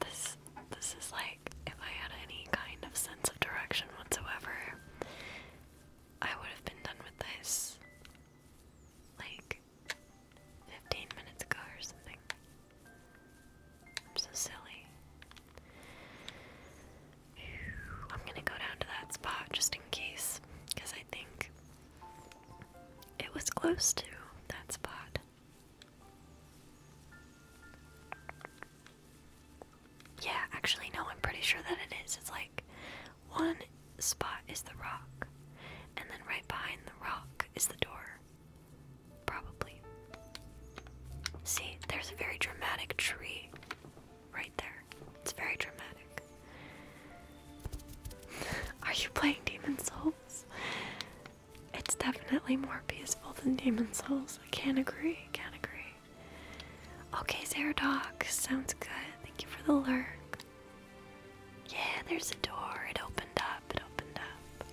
this this is like if I had any kind of sense of direction whatsoever, I would have been done with this like 15 minutes ago or something. I'm so silly. I'm gonna go down to that spot just in case, because I think it was close to that spot. Yeah, actually, no, I'm pretty sure that it is. It's like one spot is the rock, and then right behind the rock is the door. Probably. See, there's a very dramatic tree right there. It's very dramatic. Are you playing Demon Souls? It's definitely more peaceful than Demon Souls. I can't agree. Can't agree. Okay, Zeradoc. Sounds good. Thank you for the lurk. Yeah, there's a door. It opened up. It opened up.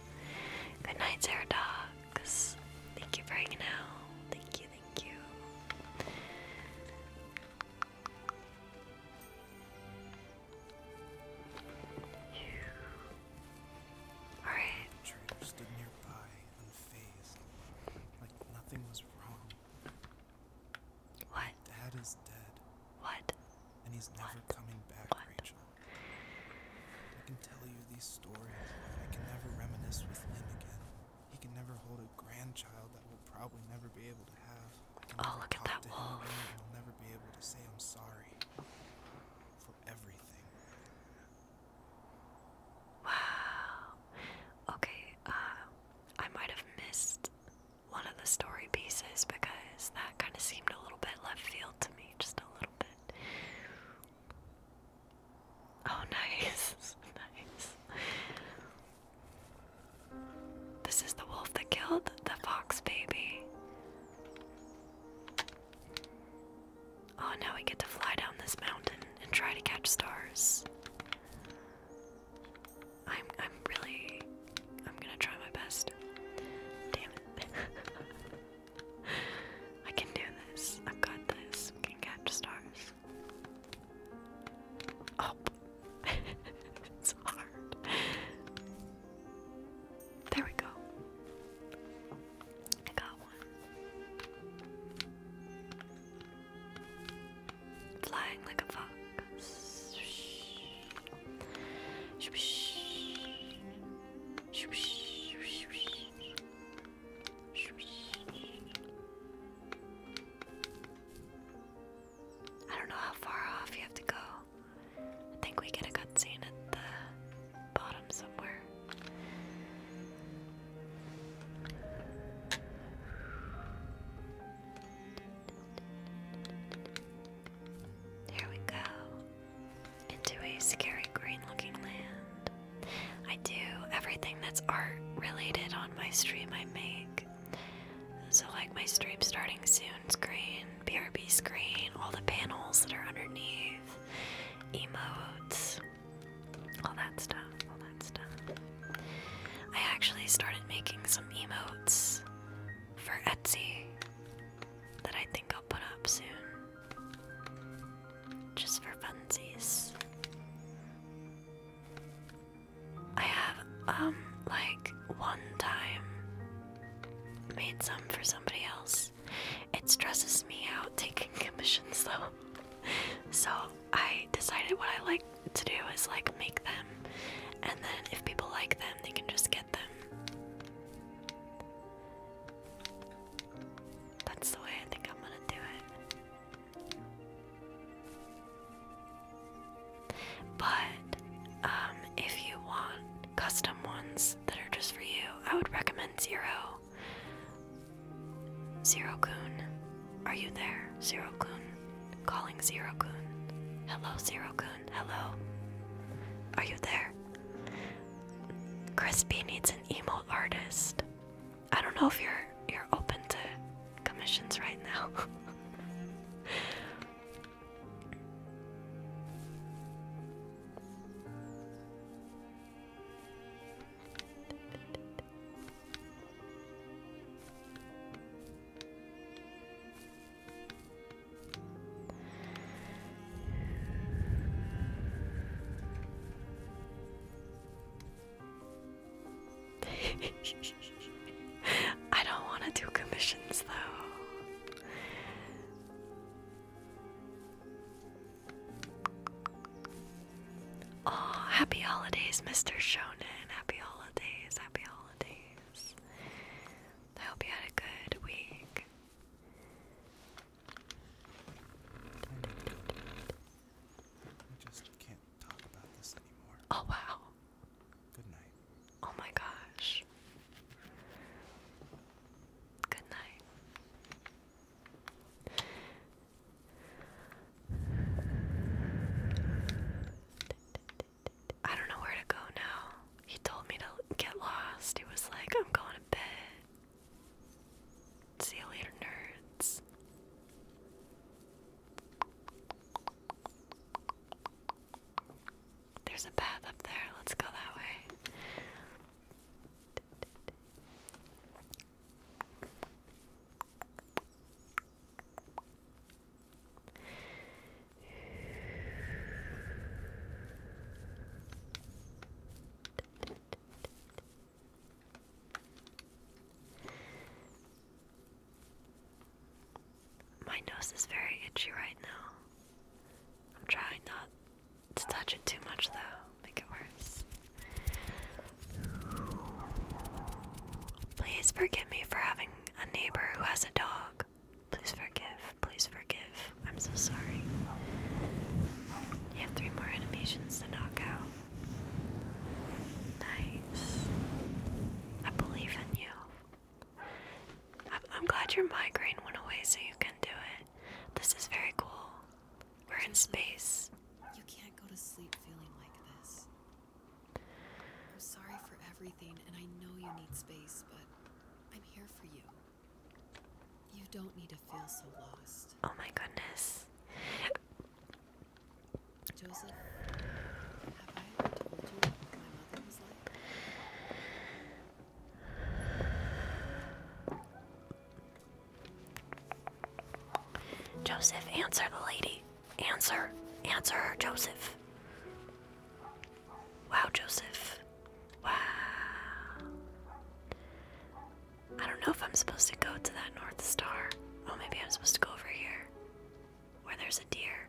Good night, Sarah Dogs. Thank you for hanging out. Thank you, thank you. Alright. What? Dad is dead. What? And he's never what? coming back, what? Rachel. I can tell you these stories, I can never reminisce with him again. He can never hold a grandchild that will probably never be able to have. Oh, look at that wolf. I'll never be able to say I'm sorry for everything. Wow. Okay, uh, I might have missed one of the story pieces because that kind of seemed a little bit left field to me, just a little bit. Oh, nice. nice. This is the wolf that killed the fox baby. Oh, now we get to fly down this mountain and try to catch stars. I'm I'm really I'm gonna try my best. Damn it. I can do this. I've got this. We can catch stars. Oh it's hard. There we go. I got one flying like a fox. I don't know how far off you have to go. I think we get a good scene at the bottom somewhere. There we go. Into a scary green looking land. I do everything that's art related on my stream I make. So, like my stream starting soon screen, BRB screen, all the panels that are underneath, emotes, all that stuff, all that stuff. I actually started making some emotes for Etsy that I think I'll put up soon. Just for funsies. I have, um, like, one time made some for somebody else. It stresses me out taking commissions though. so I decided what I like to do is like make them, and then if people like them, they can just get them. That's the way I think I'm gonna do it. But um, if you want custom ones that are just for you, I would recommend Zero. Goon. Are you there, Zero Kun? Calling Zero Kun. Hello, Zero Kun. Hello. Are you there? Crispy needs an emo artist. I don't know if you're you're open to commissions right now. I don't want to do commissions though. Oh, happy holidays, Mr. Shonen. Happy holidays, happy holidays. I hope you had a good week. Oh, wow. Good night. Oh, my gosh. Good night. I don't know where to go now. He told me to get lost. He was like, I'm going to bed. See you later, nerds. There's a path up there. Let's go that way. My nose is very itchy right now. I'm trying not to touch it too much though, make it worse. Please forgive me for having a neighbor who has a dog. Please forgive. Please forgive. I'm so sorry. You have three more animations to knock out. Nice. I believe in you. I'm, glad your migraine went away so you can do it. This is very cool. We're in space. You can't go to sleep feeling like this. I'm sorry for everything, and I know you need space, but I'm here for you. You don't need to feel so lost. Oh my goodness. Joseph, have I told you what my mother was like? Joseph, answer the lady. Answer. Answer Joseph. Wow, Joseph. Wow. I don't know if I'm supposed to go to that North Star. Oh, maybe I'm supposed to go over here where there's a deer.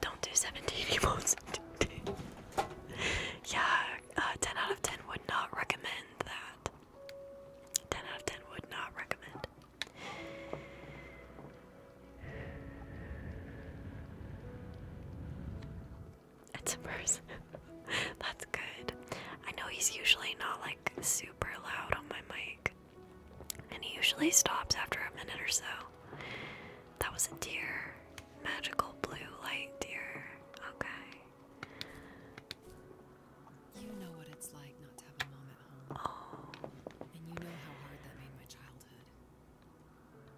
Don't do 17 emotes. yeah, uh, 10 out of 10 would not recommend that. 10 out of 10 would not recommend. That's a person. That's good. I know he's usually not like super loud on my mic. And he usually stops after a minute or so. That was a deer. Magical blue light deer. Okay.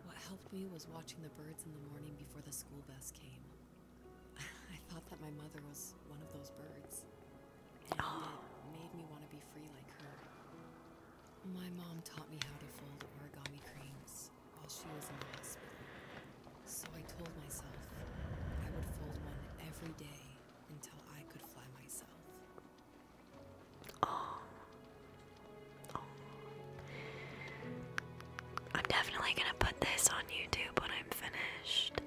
What helped me was watching the birds in the morning before the school bus came. I thought that my mother was one of those birds. And it made me want to be free like her. My mom taught me how to fold origami cranes while she was in the hospital. So I told myself I would fold one every day until I could fly myself. Oh. I'm definitely gonna put this on YouTube when I'm finished.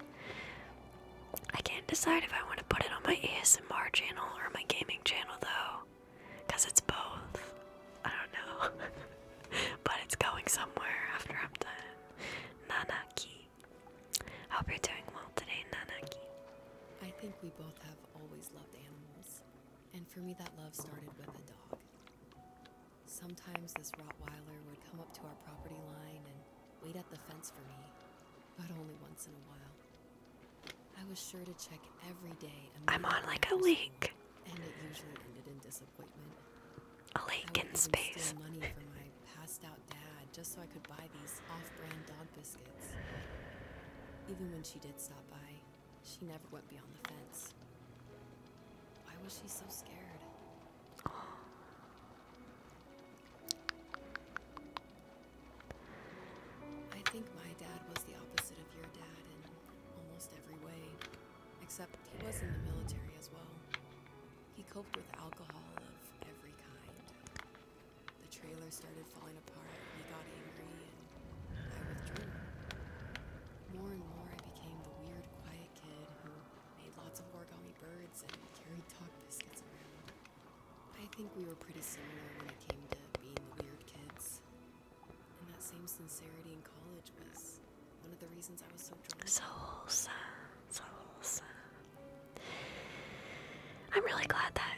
I can't decide if I want to put it on my ASMR channel or my gaming channel though. Because it's both. I don't know. but it's going somewhere after I'm done. Nanaki. Hope you're doing well today, Nanaki. I think we both have have always loved animals, and for me, that love started with a dog. Sometimes this Rottweiler would come up to our property line and wait at the fence for me, but only once in a while. I was sure to check every day. I'm on like a leak. And it usually ended in disappointment. A leak in space. money from my passed out dad just so I could buy these off-brand dog even when she did stop by, she never went beyond the fence. Why was she so scared? I think my dad was the opposite of your dad in almost every way, except he was in the military as well. He coped with alcohol of every kind. The trailer started falling apart, he got angry, and I withdrew. More and more, I became the weird, quiet kid who made lots of origami birds and carried talk biscuits around. I think we were pretty similar when it came to being weird kids. And that same sincerity in college was one of the reasons I was so drunk. So wholesome. So wholesome. I'm really glad that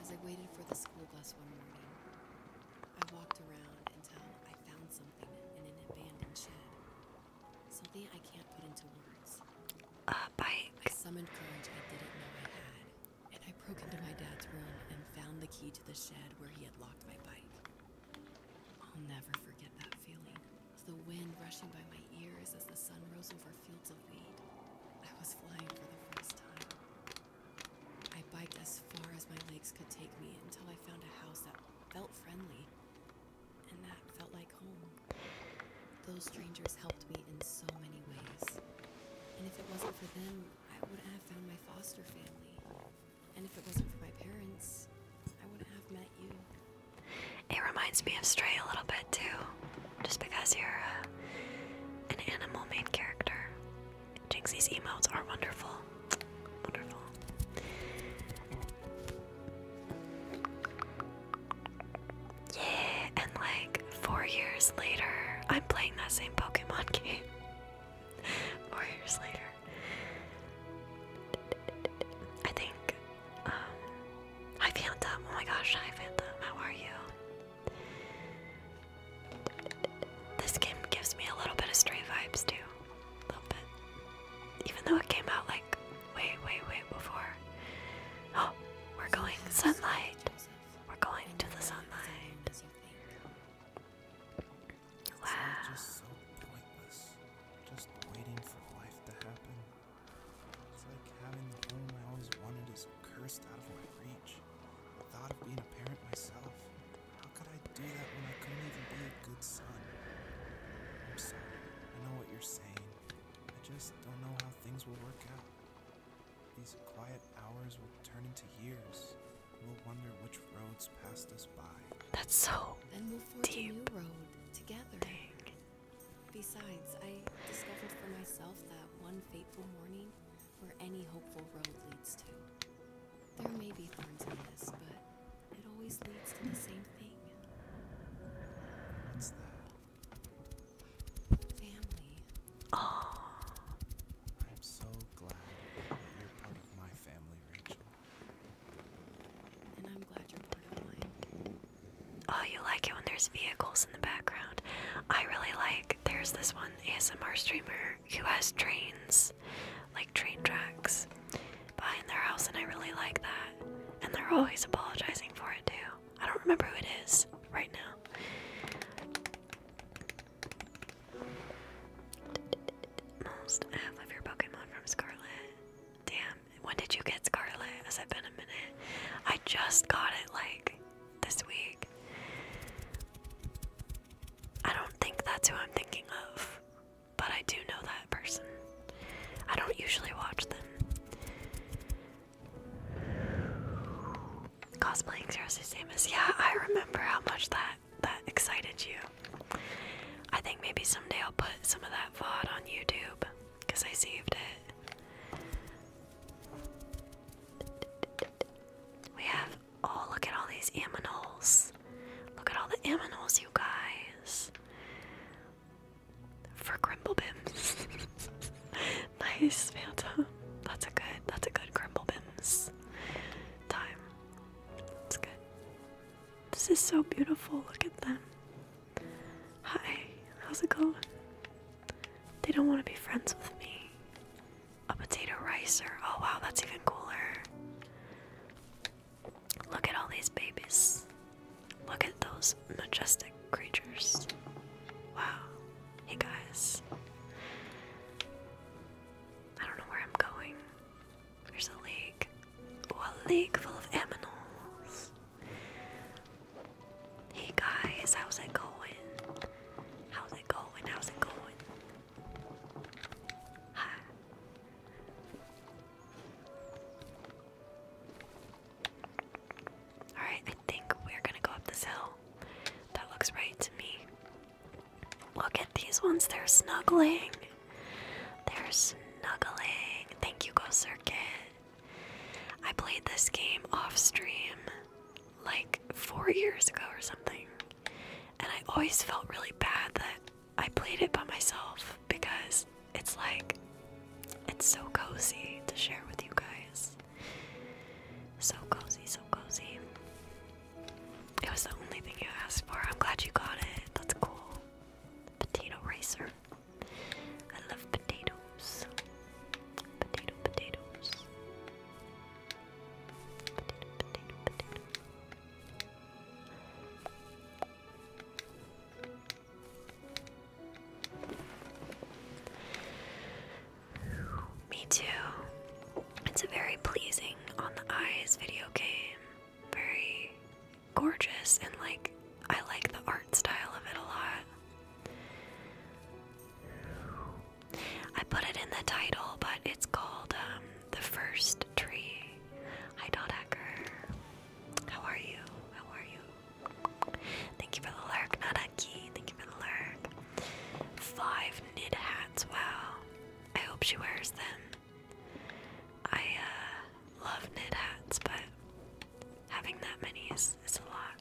As I waited for the school bus one morning, I walked around until I found something in an abandoned shed. Something I can't put into words. A bike. I summoned courage I didn't know I had, and I broke into my dad's room and found the key to the shed where he had locked my bike. I'll never forget that feeling. The wind rushing by my ears as the sun rose over I biked as far as my legs could take me until I found a house that felt friendly and that felt like home. Those strangers helped me in so many ways. And if it wasn't for them, I wouldn't have found my foster family. And if it wasn't for my parents, I wouldn't have met you. It reminds me of Stray a little bit too just because you're uh, an animal main character. Jinxie's emotes are wonderful. Wonderful. Yeah, and like four years later, I'm playing that same Pokemon game. four years later. I think um, Hi Phantom, oh my gosh, hi Phantom, how are you? This game gives me a little bit of stray vibes too. A little bit. Even though it came out like way, way, way before. Oh, we're going sunlight. We're going to the sunlight. Wow. Just so pointless. Just waiting for life to happen. It's like having the home I always wanted is cursed out of my reach. The thought of being a parent myself. How could I do that when I couldn't even be a good son? I'm sorry. I know what you're saying. I just don't know how things will work out. These quiet hours will turn into years. We'll wonder which roads passed us by. That's so. Then we'll forge deep. road together. Besides, I discovered for myself that one fateful morning where any hopeful road leads to. There may be thorns in this, but it always leads to the same thing. What's that? Family. Oh. I'm so glad you're part of my family, Rachel. And I'm glad you're part of mine. Oh, you like it when there's vehicles in the background. I really like there's this one ASMR streamer who has trains, like train tracks, behind their house, and I really like that. And they're always apologizing for it too. I don't remember who it is right now. Almost of your Pokemon from Scarlet. Damn, when did you get Scarlet? Has it been a minute? I just got it like this week. I don't think that's who I'm thinking of, but I do know that person. I don't usually watch them. Cosplaying Zero's Samus. Yeah, I remember how much that that excited you. I think maybe someday I'll put some of that VOD on YouTube because I saved it. We have oh look at all these aminals. Look at all the aminals, you guys. For Grimblebims. nice, Phantom. That's a good that's a good Grimblebims time. That's good. This is so beautiful. Look at them. Hi, how's it going? They don't want to be friends with me. A potato ricer. Oh wow, that's even cooler. Look at all these babies. Look at those majestic creatures. Wow. Hey guys. I don't know where I'm going. There's a lake. Oh, a lake full of aminals. Hey guys, how's it going? How's it going? How's it going? Hi. Alright, I think we're gonna go up this hill. That looks right to me. Look at these ones, they're snuggling. They're snuggling. Thank you, Go Circuit. I played this game off stream like four years ago or something, and I always felt really bad that I played it by myself because it's like it's so cozy to share with you guys. So cozy, so cozy. It was the only thing you asked for. I'm glad you got it. That's cool. Potato racer. I love potato Potato, potatoes. Me too. It's a very pleasing on the eyes video game. Very gorgeous and like I like the art style of it a lot. I put it in the title, but it's called um, The First Tree. Hi, Dot How are you? How are you? Thank you for the lurk, Nadaki. Thank you for the lurk. Five knit hats. Wow. I hope she wears them. I uh, love knit hats, but having that many is a lot.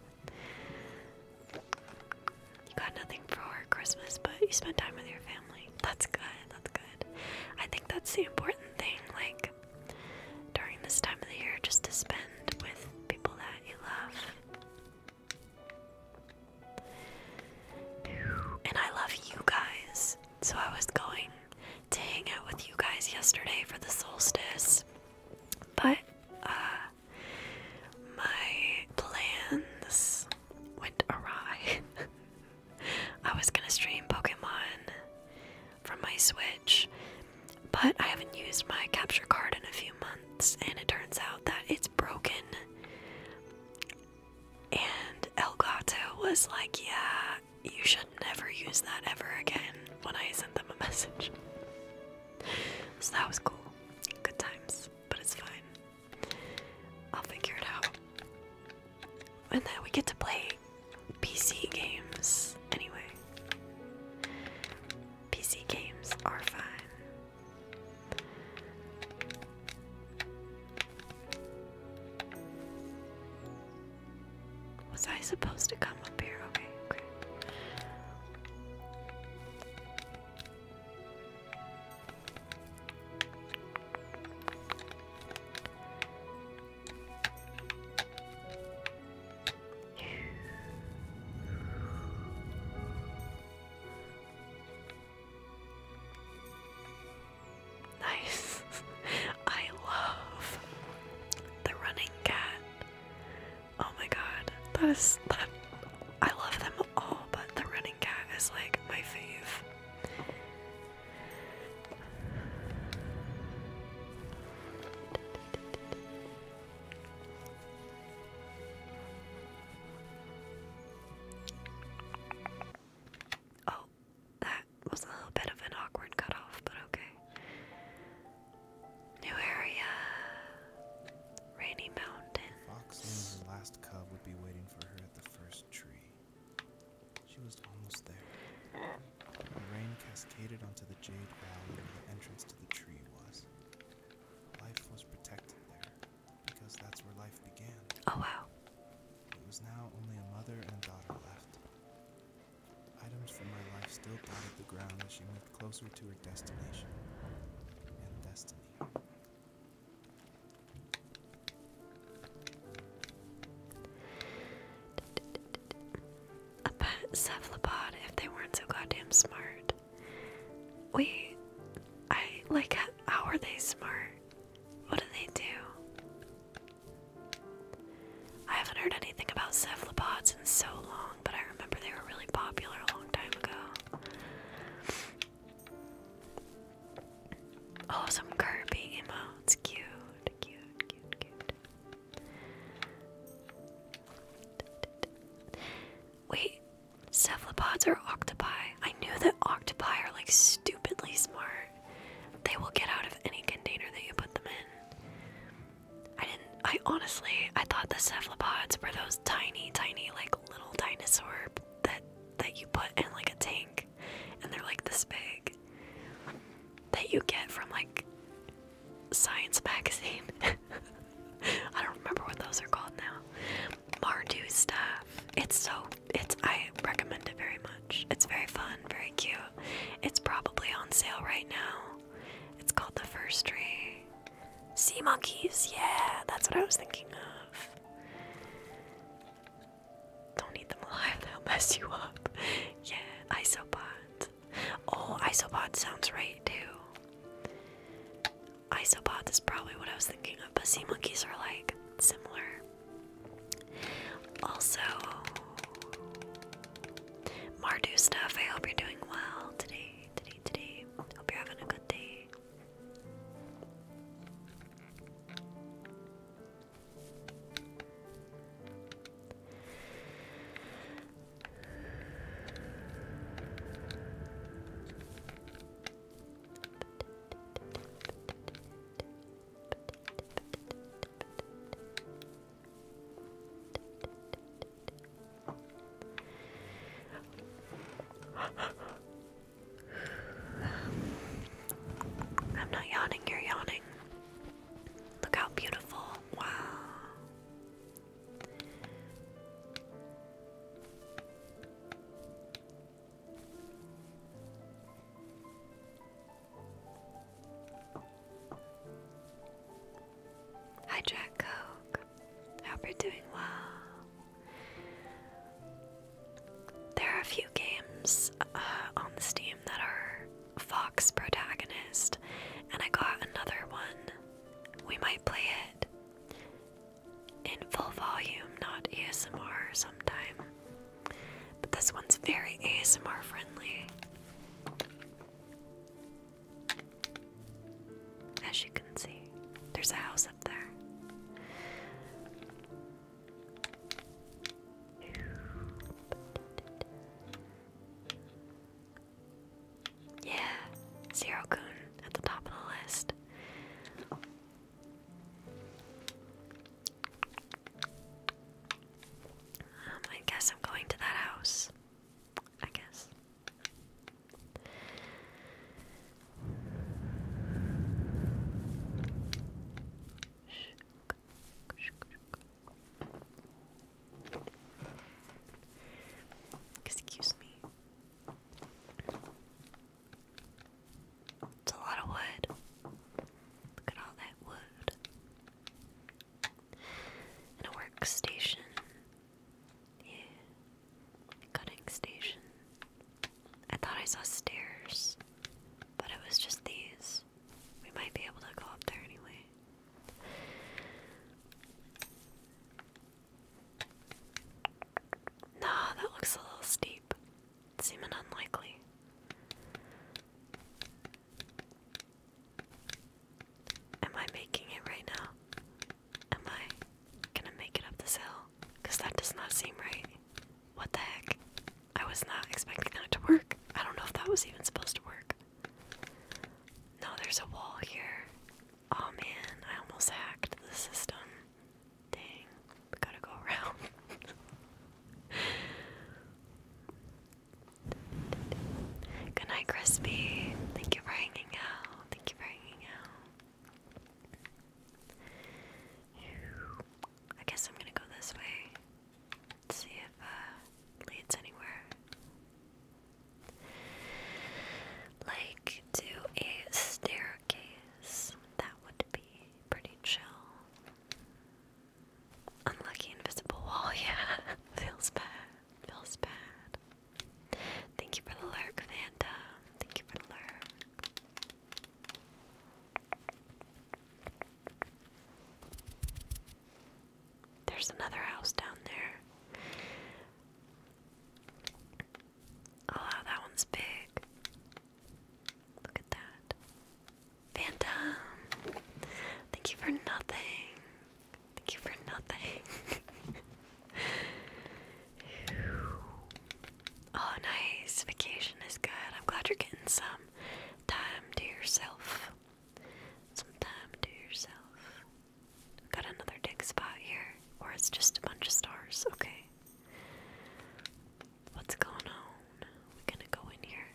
You got nothing for Christmas, but you spent time with your family. That's good, that's good. I think that's the important thing, like during this time of the year, just to spend with people that you love. And I love you guys. So I was going to hang out with you guys yesterday for the solstice, but uh, my plans went awry. I was gonna stream Pokemon from my Switch, but I haven't used my capture card in a few months, and it turns out that it's broken. And Elgato was like, Yeah, you should never use that ever again when I sent them a message. So that was cool. Good times, but it's fine. I'll figure it out. And then we get to play PC games anyway. PC games are fine. Was I supposed to come up here? okay. Nice. I love the running cat. Oh my god, that is that. I love them all, but the running cat is like my fave. Oh, that was a little bit of an awkward cutoff, but okay. New area. Rainy Mountain. Fox knew her last cub would be waiting for her at the first tree. She was almost there. The rain cascaded onto the jade valley where the entrance to the tree was. Life was protected there because that's where life began. Oh wow. It was now only a mother and daughter left. Items from my life still dotted the ground as she moved closer to her destination and A pet I like how are they smart? What do they do? I haven't heard anything about cephalopods in so long, but I remember they were really popular a long time ago. Oh, some carving emotes. Cute, cute. Wait, cephalopods are octopi. I knew that octopi are like stupidly smart. They will get out of any container that you put them in. I didn't. I honestly, I thought the cephalopods were those tiny, tiny, like little dinosaur that that you put in like a tank, and they're like this big. That you get from like Science Magazine. I don't remember what those are called now. Mardu stuff. It's so. It's. I recommend it very much. It's very fun, very cute. It's probably on sale right now. It's called the First Tree. Sea monkeys, yeah, that's what I was thinking of. Don't eat them alive, they'll mess you up. yeah, isopod. Oh, isopod sounds right too. Isobot is probably what I was thinking of, but sea monkeys are like similar. Also, Mardu stuff, I hope you're doing well Today, day Hope you're having a good day. I'm not yawning, you're yawning. Look how beautiful. Wow. Hi, Jack Coke. I Hope you're doing well. There are a few games uh, on the Steam that are Fox protagonist, and I got another one. We might play it in full volume, not ASMR sometime. But this one's very ASMR friendly. As you can see, there's a house up there. Yeah, Zero Kun at the top um, I guess I'm going to that house. I guess. Excuse me. It's a lot of wood. Look at all that wood. And a workstation yeah. Cutting station. I thought I saw stairs, but it was just these. We might be able to go up there anyway. Nah, that looks a little steep. Seeming unlikely. Am I making it right now? Am I gonna make it up this hill? Because that does not seem right. What the heck? I was not expecting that to work. I don't know if that was even supposed to work. No, there's a wall here. Oh man, I almost hacked the system. Dang, gotta go around. Good Crispy. Thank you for hanging out. Thank you for hanging out. I guess I'm gonna go this way. see if uh leads anywhere. Like to a staircase. That would be pretty chill. Unlucky invisible wall, yeah. Feels bad. Feels bad. Thank you for the lurk, Vanda. Thank you for the lurk. There's another house down there. Oh, that one's big. Look at that. Phantom! Thank you for nothing. Thank you for nothing. Oh, nice. Vacation is good. I'm glad you're getting some time to yourself. Some time to yourself. Got another dig spot here, or it's just a bunch of stars. Okay. What's going on? we gonna go in here.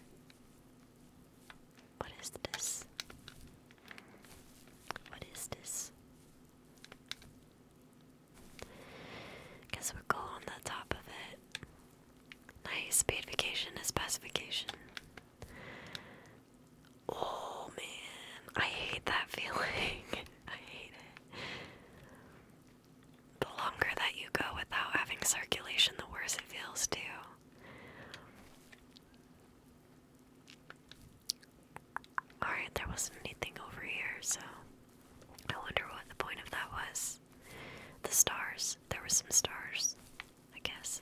What is this? What is this? Guess we go on the top of it. Nice, paid vacation is best Oh man, I hate that feeling. I hate it. The longer that you go without having circulation, the worse it feels, too. Alright, there wasn't anything over here, so I wonder what the point of that was. The stars. There were some stars, I guess.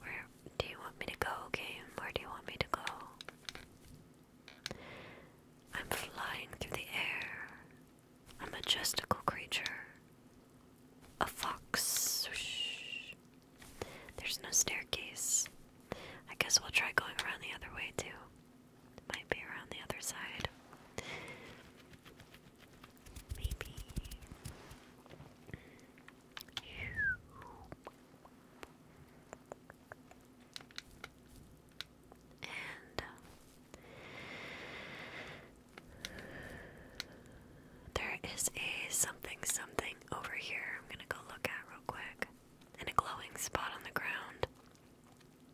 Where do you want me to go, game? Where do you want me to go? I'm flying through the air. A majestical creature. A fox. There's no staircase. I guess we'll try going around the other way too. Might be around the other side. Maybe. And uh, there is a something something over here I'm gonna go look at real quick and a glowing spot on the ground.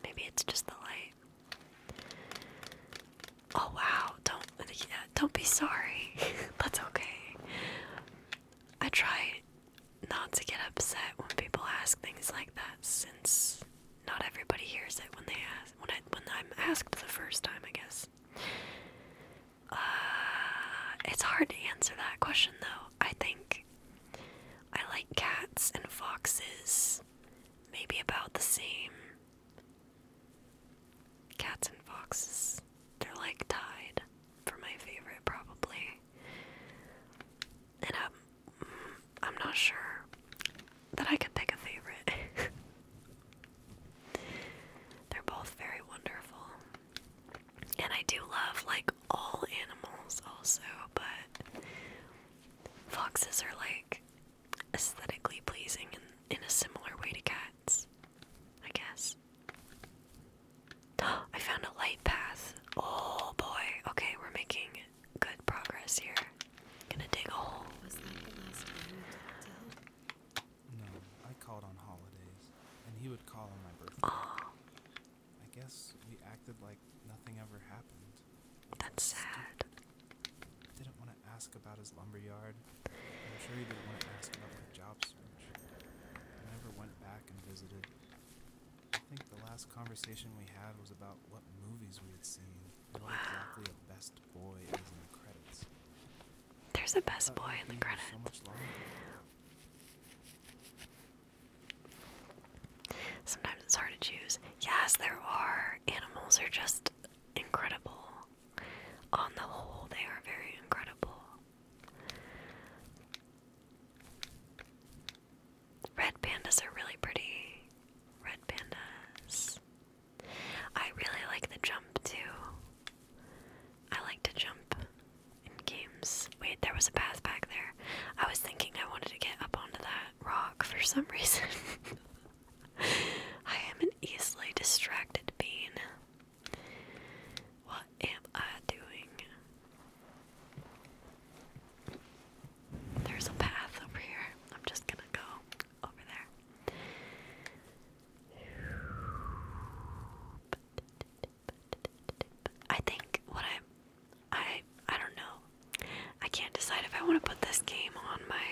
Maybe it's just the light. Oh wow, don't yeah, don't be sorry. That's okay. I try not to get upset when people ask things like that since not everybody hears it when they ask when I when I'm asked the first time, I guess. Uh, it's hard to answer that question though. I think I like cats and foxes, maybe about the same. Cats and foxes, they're like tied for my favorite, probably. And I'm, um, I'm not sure that I can pick a favorite. they're both very wonderful. And I do love like all animals also, but foxes are like aesthetically pleasing in, in a similar way to cats, I guess. I found a light path. Oh boy. Okay, we're making good progress here. gonna dig a hole. I guess we acted like nothing ever happened. That's sad. Didn't want to ask about his lumberyard. I'm sure you didn't want to ask about the job search. I never went back and visited. I think the last conversation we had was about what movies we had seen. Wow. Not the There's a best boy in the credits. Sometimes it's hard to choose. Yes, there are. Animals are just incredible. On the whole, they are very incredible. Red pandas are really pretty. Red pandas. I really like the jump too. I like to jump in games. Wait, there was a path back there. I was thinking I wanted to get up onto that rock for some reason. I am an easily distracted being. What am I doing? There's a path over here. I'm just gonna go over there. I think what i I I don't know. I can't decide if I want to put this game on my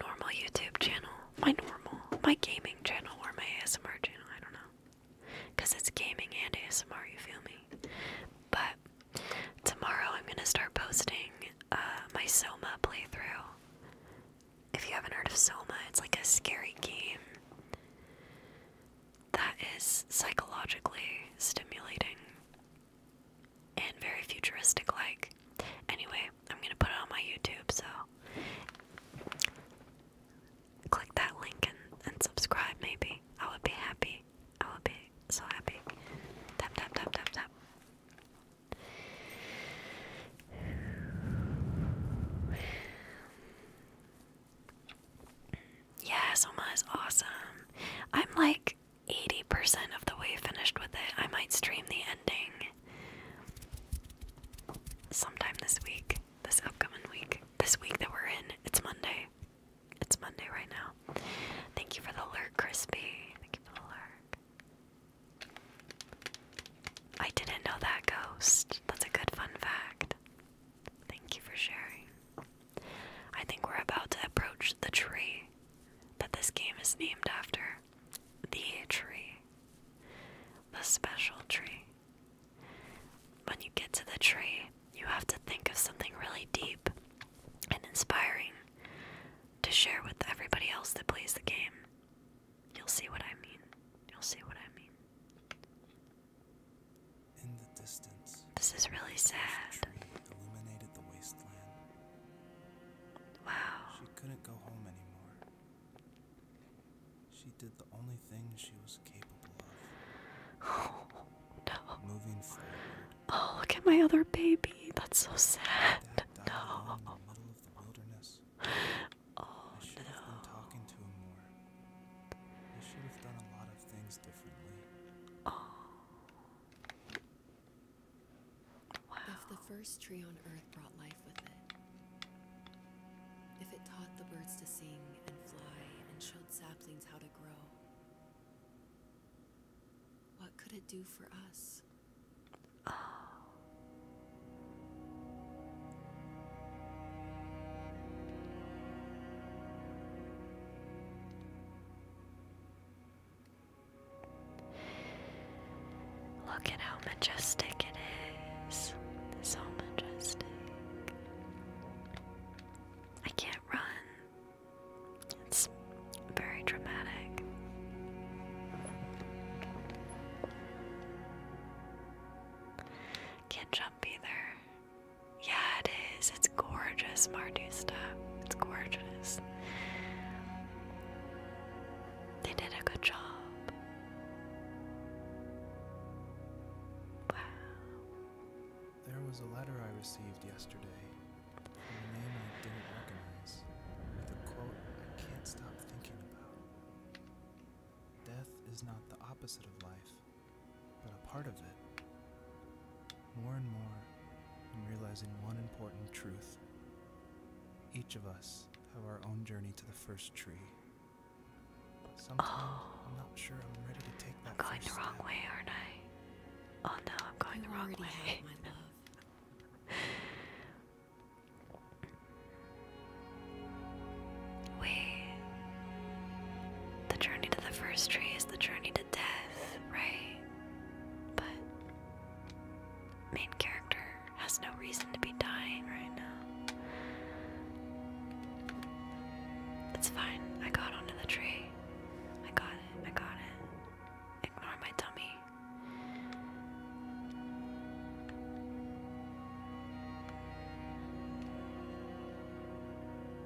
normal YouTube channel, my normal, my gaming channel or my ASMR channel, I don't know. Cuz it's gaming and ASMR, you feel me? But tomorrow I'm going to start posting uh, my Soma playthrough. If you haven't heard of Soma, it's like a scary game that is psychologically stimulating and very futuristic like. Anyway, I'm going to put it on my YouTube, so click that link and, and subscribe maybe. I would be happy. I would be so happy. Tap, tap, tap, tap, tap. Yes, Soma is awesome. I'm like 80% of the way finished with it. I might stream the ending sometime this week, this upcoming week, this week that we're in. It's Monday. It's Monday right now. Thank you for the alert, Crispy. Thank you for the alert. I didn't know that, Ghost. That's a good fun fact. Thank you for sharing. I think we're about to approach the tree that this game is named after. The tree. The special tree. When you get to the tree, you have to think of something really deep and inspiring to share with everybody else that plays the game. You'll see what I mean. You'll see what I mean. In the distance, this is really sad. Wow. She couldn't go home anymore. She did the only thing she was capable of. Oh no. Oh, look at my other baby. That's so sad. no. Oh no. I should have done a lot of things differently. If the first tree on earth brought life with it, if it taught the birds to sing and fly and showed saplings how to grow, what could it do for us? Look at how majestic it is. So majestic. I can't run. It's very dramatic. Can't jump either. Yeah, it is. It's gorgeous, Mardusta. It's gorgeous. They did a good job. Wow. There was a letter I received yesterday from a name I didn't recognize with a quote I can't stop thinking about. Death is not the opposite of life, but a part of it. More and more, I'm realizing one important truth. Each of us have our own journey to the first tree. Sometimes oh. I'm not sure I'm ready to take going the wrong way, aren't I? Oh no, I'm going the wrong way. We. The journey to the first tree is the journey to death, right? But. Main character has no reason to be dying right now. It's fine. I got onto the tree. I got it. I got it. Ignore my tummy.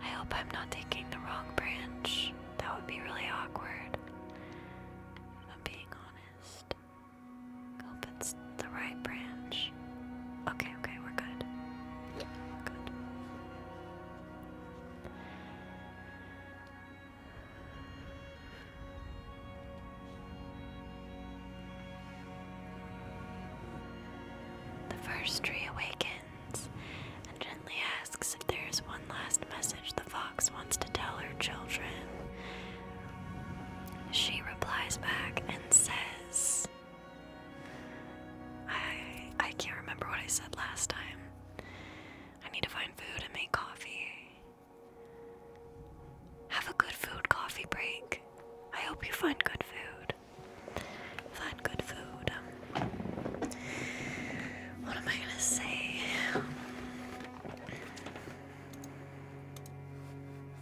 I hope I'm not taking the wrong branch. That would be really awkward. I'm being honest. hope it's the right branch. Okay, okay, we're good. We're good. The first tree awakens and gently asks if there is one last message the fox wants to tell her children. She replies back and says, I, I can't remember what I said last time. I need to find food and make coffee. Have a good food coffee break. I hope you find good food. Find good food. Um, what am I gonna say?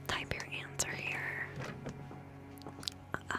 Type your answer here. Um,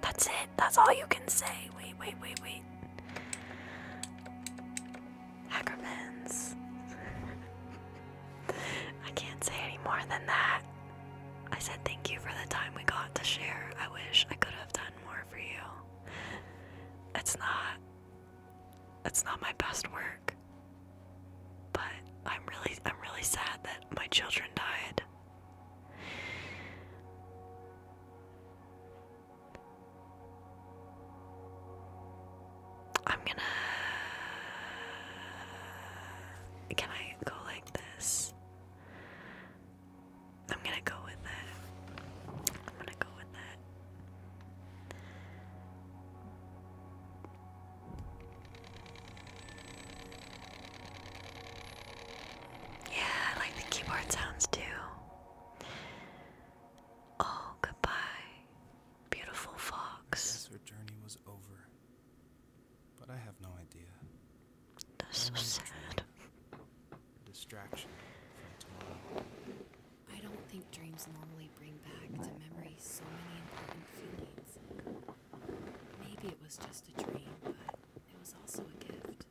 That's it. That's all you can say. Wait, wait, wait, wait. Hackermans. I can't say any more than that. I said thank you for the time we got to share. I wish I could have done more for you. It's not. It's not my best work. But I'm really I'm really sad that my children died. I'm gonna Can I go like this? I'm gonna go with that. I'm gonna go with that. Yeah, I like the keyboard sounds too. Oh, goodbye, beautiful fox. her journey was over, but I have no idea. That's so sad. distraction from tomorrow. I don't think dreams normally bring back to memory so many important feelings. Maybe it was just a dream, but it was also a gift.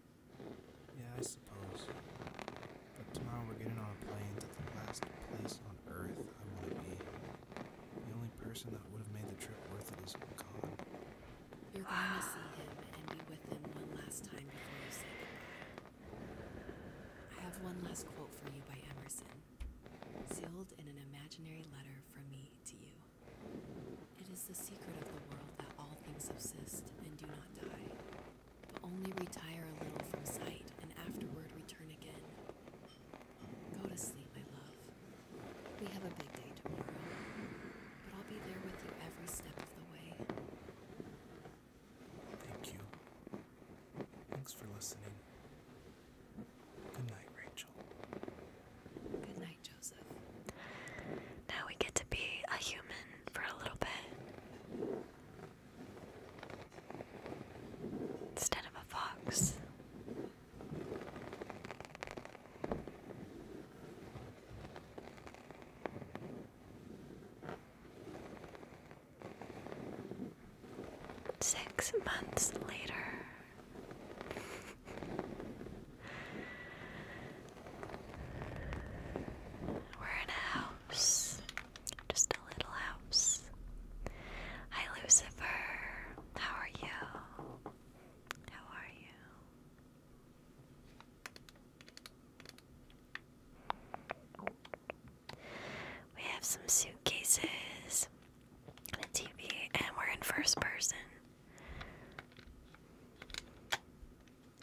Yeah, I suppose. But tomorrow we're getting on a plane to the last place on Earth I want to be. The only person that would have made the trip worth it is gone. You're going to see him and be with him one last time before you say goodbye. I have one last quote for you by Emerson, sealed in an imaginary letter from me to you. It is the secret of the world that all things subsist and do not die, but only retire a little from sight and afterward return again. Go to sleep, my love. We have a big day tomorrow, but I'll be there with you every step of the way. Thank you. Thanks for listening. Good night, Rachel. Good night, Joseph. Now we get to be a human for a little bit. Instead of a fox. Six months later. We're in a house. Just a little house. Hi, Lucifer. How are you? How are you? We have some suitcases the TV, and we're in first person.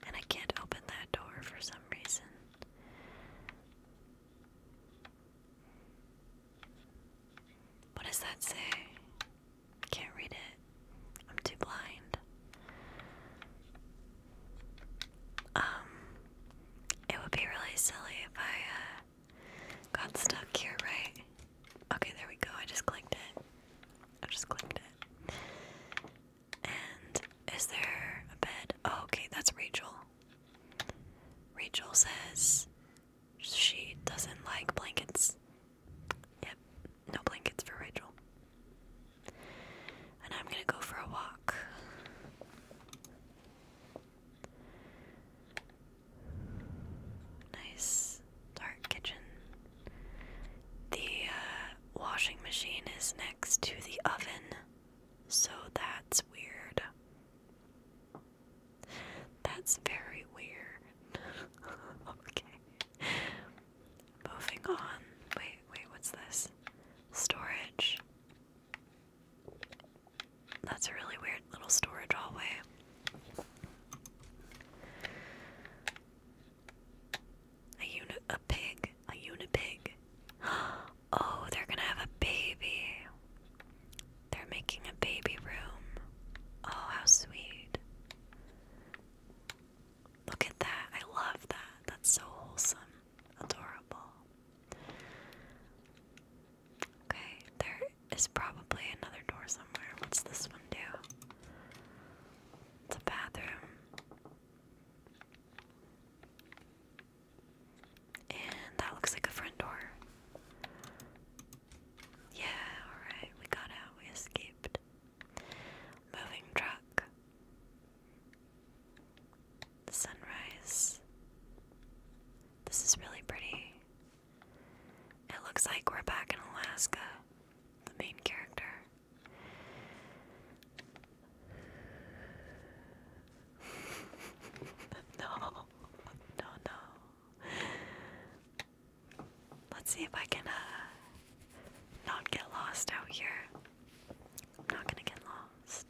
And I can't open that door for some reason. What does that say? can't read it. I'm too blind. Um, it would be really silly if I uh, Got stuck here, right? Okay, there we go. I just clicked it. I just clicked it. And is there a bed? Oh, okay, that's Rachel. Rachel says she doesn't like blankets. Yep, no blankets for Rachel. And I'm gonna go for a walk. Nice dark kitchen. The uh, washing machine is next to the oven, so that's weird. That's very weird. okay. Moving on. Wait, wait, what's this? Storage. That's a really weird little storage hallway. A unit, a pig, a unit pig. Oh, they're gonna have a baby. They're making a baby room. Oh, how sweet. Look at that. I love that. That's so wholesome. Adorable. Okay, there is probably another door somewhere. What's this one do? It's a bathroom. And that looks like a front door. Yeah, alright, we got out, we escaped. Moving truck. Sunrise. This is really pretty. It looks like we're back in Alaska, the main character. no, no, no. Let's see if I can uh, not get lost out here. I'm not gonna get lost.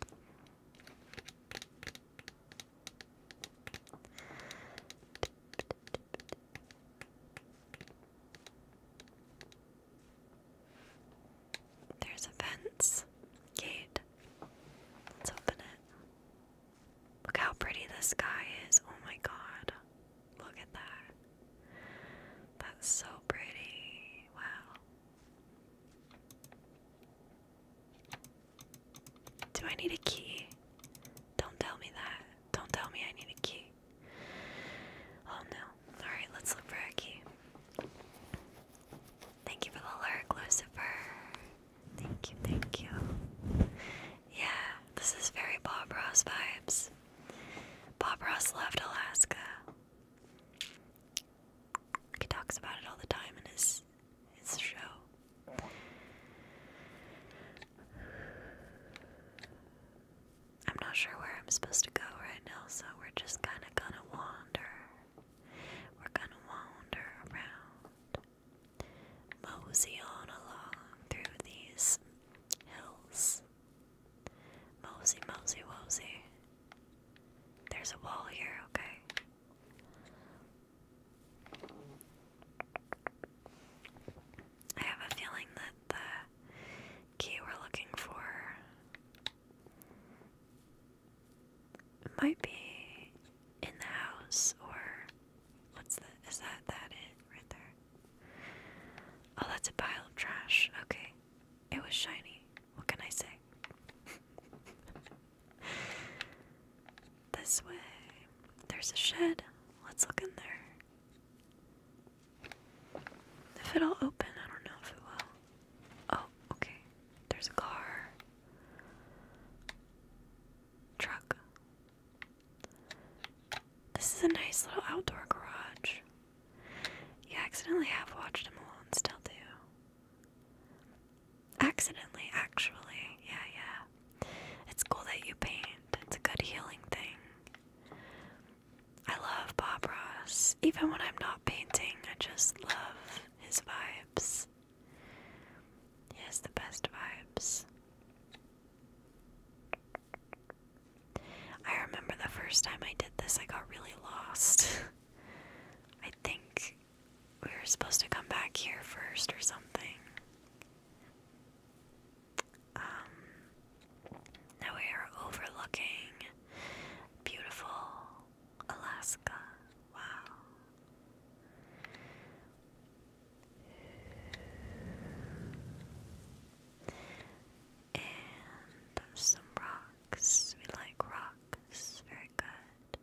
There's a fence gate. Let's open it. Look how pretty the sky is. Oh my god. Look at that. That's so pretty. Wow. Do I need a key? Don't tell me that. Don't tell me I need a key. Oh no. Alright, let's look for a key. Thank you for the lurk, Lucifer. Thank you, thank you. Yeah, this is very Bob Ross vibes. Bob Ross left Alaska. He talks about it all the time in his his show. I'm not sure where I'm supposed to go right now, so we're just kind of gonna wander. We're gonna wander around, mosey on along through these hills. Mosey, mosey, mosey. There's a wall here, okay? I have a feeling that the key we're looking for might be in the house or what's that? Is that that it right there? Oh, that's a pile of trash. Okay. It was shiny. What can I say? This way. There's a shed. Let's look in there. If it'll open, I don't know if it will. Oh, okay. There's a car. Truck. This is a nice little outdoor garage. Yeah, accidentally have watched him alone, still do. Accidentally, actually. Yeah, yeah. It's cool that you paint. It's a good healing thing. I love Bob Ross. Even when I'm not painting, I just love his vibes. He has the best vibes. I remember the first time I did this, I got really lost. I think we were supposed to come back here first or something. Um, now we are overlooking beautiful Alaska. Wow. And some rocks. We like rocks. Very good.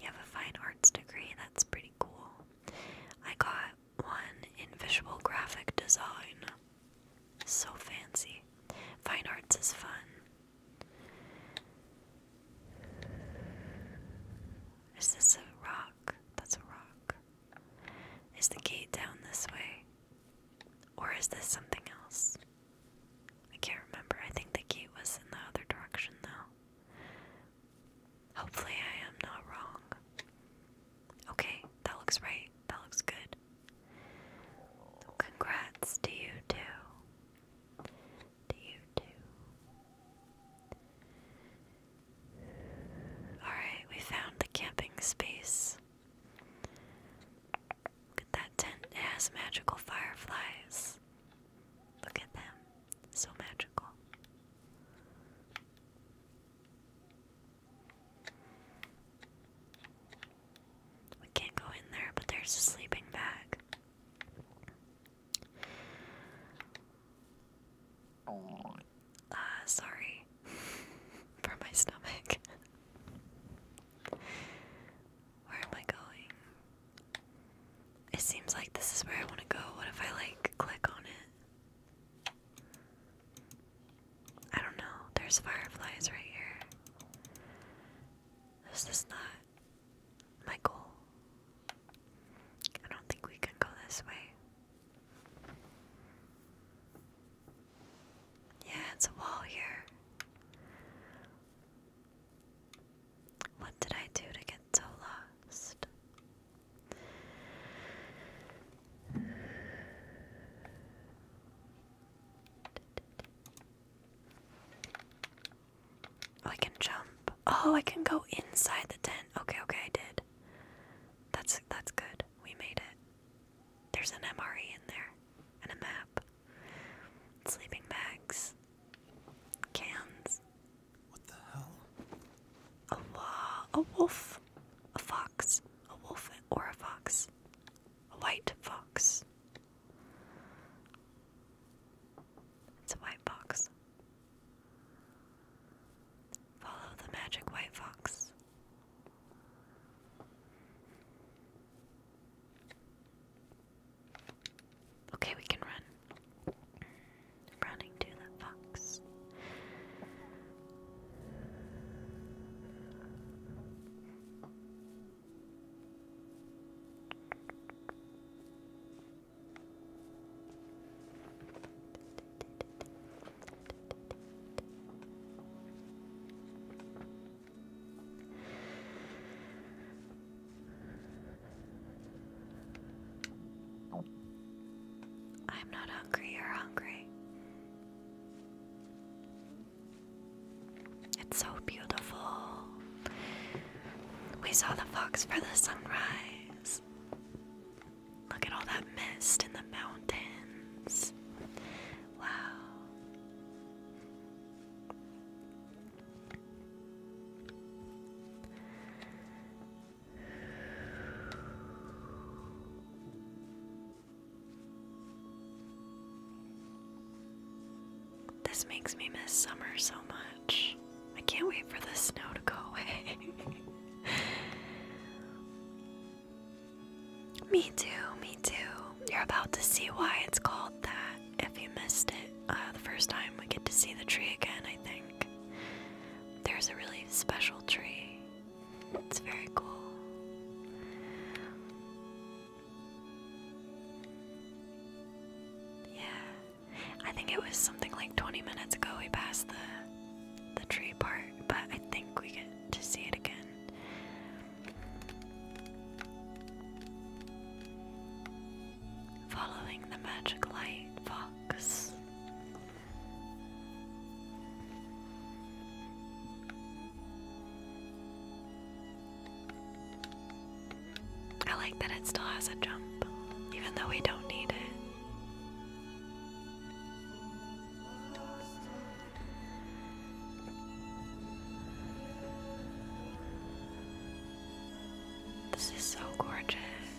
You have a fine arts degree, that's pretty cool. I got one in visual graphic design. So fancy. Fine arts is fun. Is this a rock? That's a rock. Is the gate down this way? Or is this something else? I can't remember. I think the gate was in the other direction, though. Hopefully, I am not wrong. Okay, that looks right. That looks good. Congrats to you, too. To you, too. Alright, we found the camping space. Look at that tent. It has magical fireflies. Look at them, so magical. We can't go in there, but there's a sleeping bag. Uh, sorry for my stomach. Where am I going? It seems like this is where I want to go. What if I like click on it? I don't know. There's fireflies right here. This not my goal. I don't think we can go this way. Yeah, it's a wall here. What did I do to get so lost? Oh, I can jump. Oh, I can go inside the tent. Okay, okay, I did. That's that's good. We made it. There's an MRE in there and a map. Sleeping bags. Cans. What the hell? A wa- a wolf, a fox, a wolf or a fox, a white fox. It's a white fox. Follow the magic white fox. Okay, we can run running to the fox. I'm not hungry, you hungry. It's so beautiful. We saw the fox for the sunrise. Look at all that mist in the mountains. Wow. This makes me miss summer so much. I can't wait for the snow to go away. me too, me too. You're about to see why it's called that. If you missed it uh, the first time, we get to see the tree again, I think. There's a really special tree. It's very cool. Yeah. I think it was something like 20 minutes ago we passed the the tree part, but I think we get to see it again. Following the magic light, Fox. I like that it still has a jump, even though we don't need it. This is so gorgeous.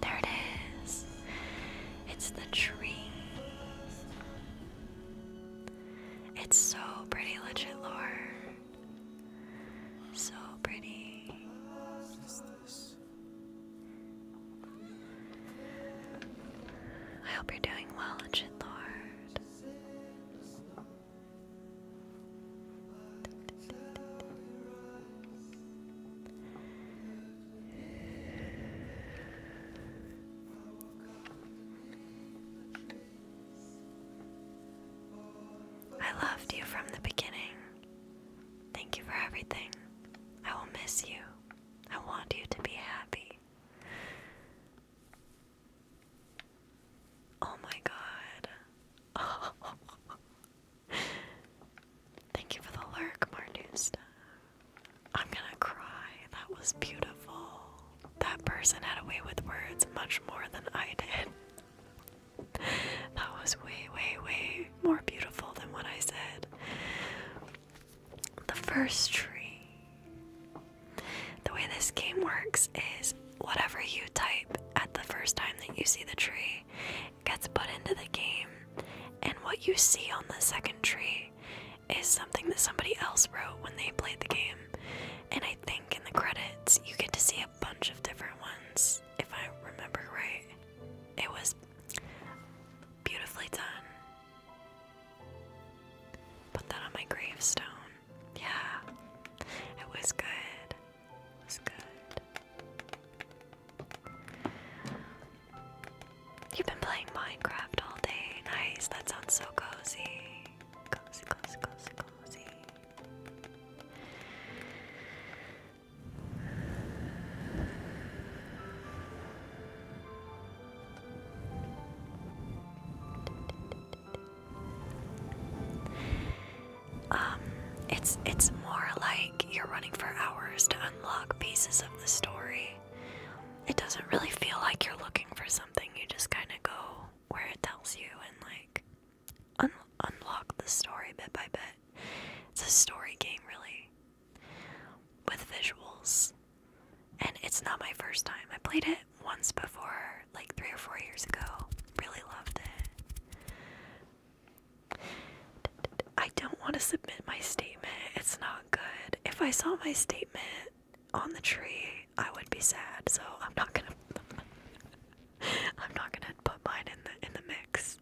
There it is. It's the tree. It's so pretty, legit lore. So pretty. I hope you're doing well, lord. I loved you from the beginning. Thank you for everything. I will miss you. I want you to be happy. Oh my god. Thank you for the lurk, Marnusta. I'm gonna cry. That was beautiful. That person had a way with words much more than I did. That was way, way, way more beautiful than what I said. The first tree. The way this game works is whatever you type at the first time that you see the tree gets put into the game, and what you see on the second tree is something that somebody else wrote when they played the game. And think in the credits you get to see a bunch of different ones, if I remember right. It was beautifully done. Put that on my gravestone. Yeah, it was good. was good. You've been playing Minecraft all day. Nice, that sounds so cozy. Cozy, cozy, cozy, cozy. Um, it's it's more like you're running for hours to unlock pieces of the story. It doesn't really feel like you're looking for something. You just kind of go where it tells you and like un unlock the story bit by bit. It's a story game, really, with visuals. And it's not my first time. I played it once before, like three or four years ago. Really loved it. I don't want to submit my statement. It's not good. If I saw my statement on the tree, I would be sad, so I'm not gonna I'm not gonna put mine in the in the mix.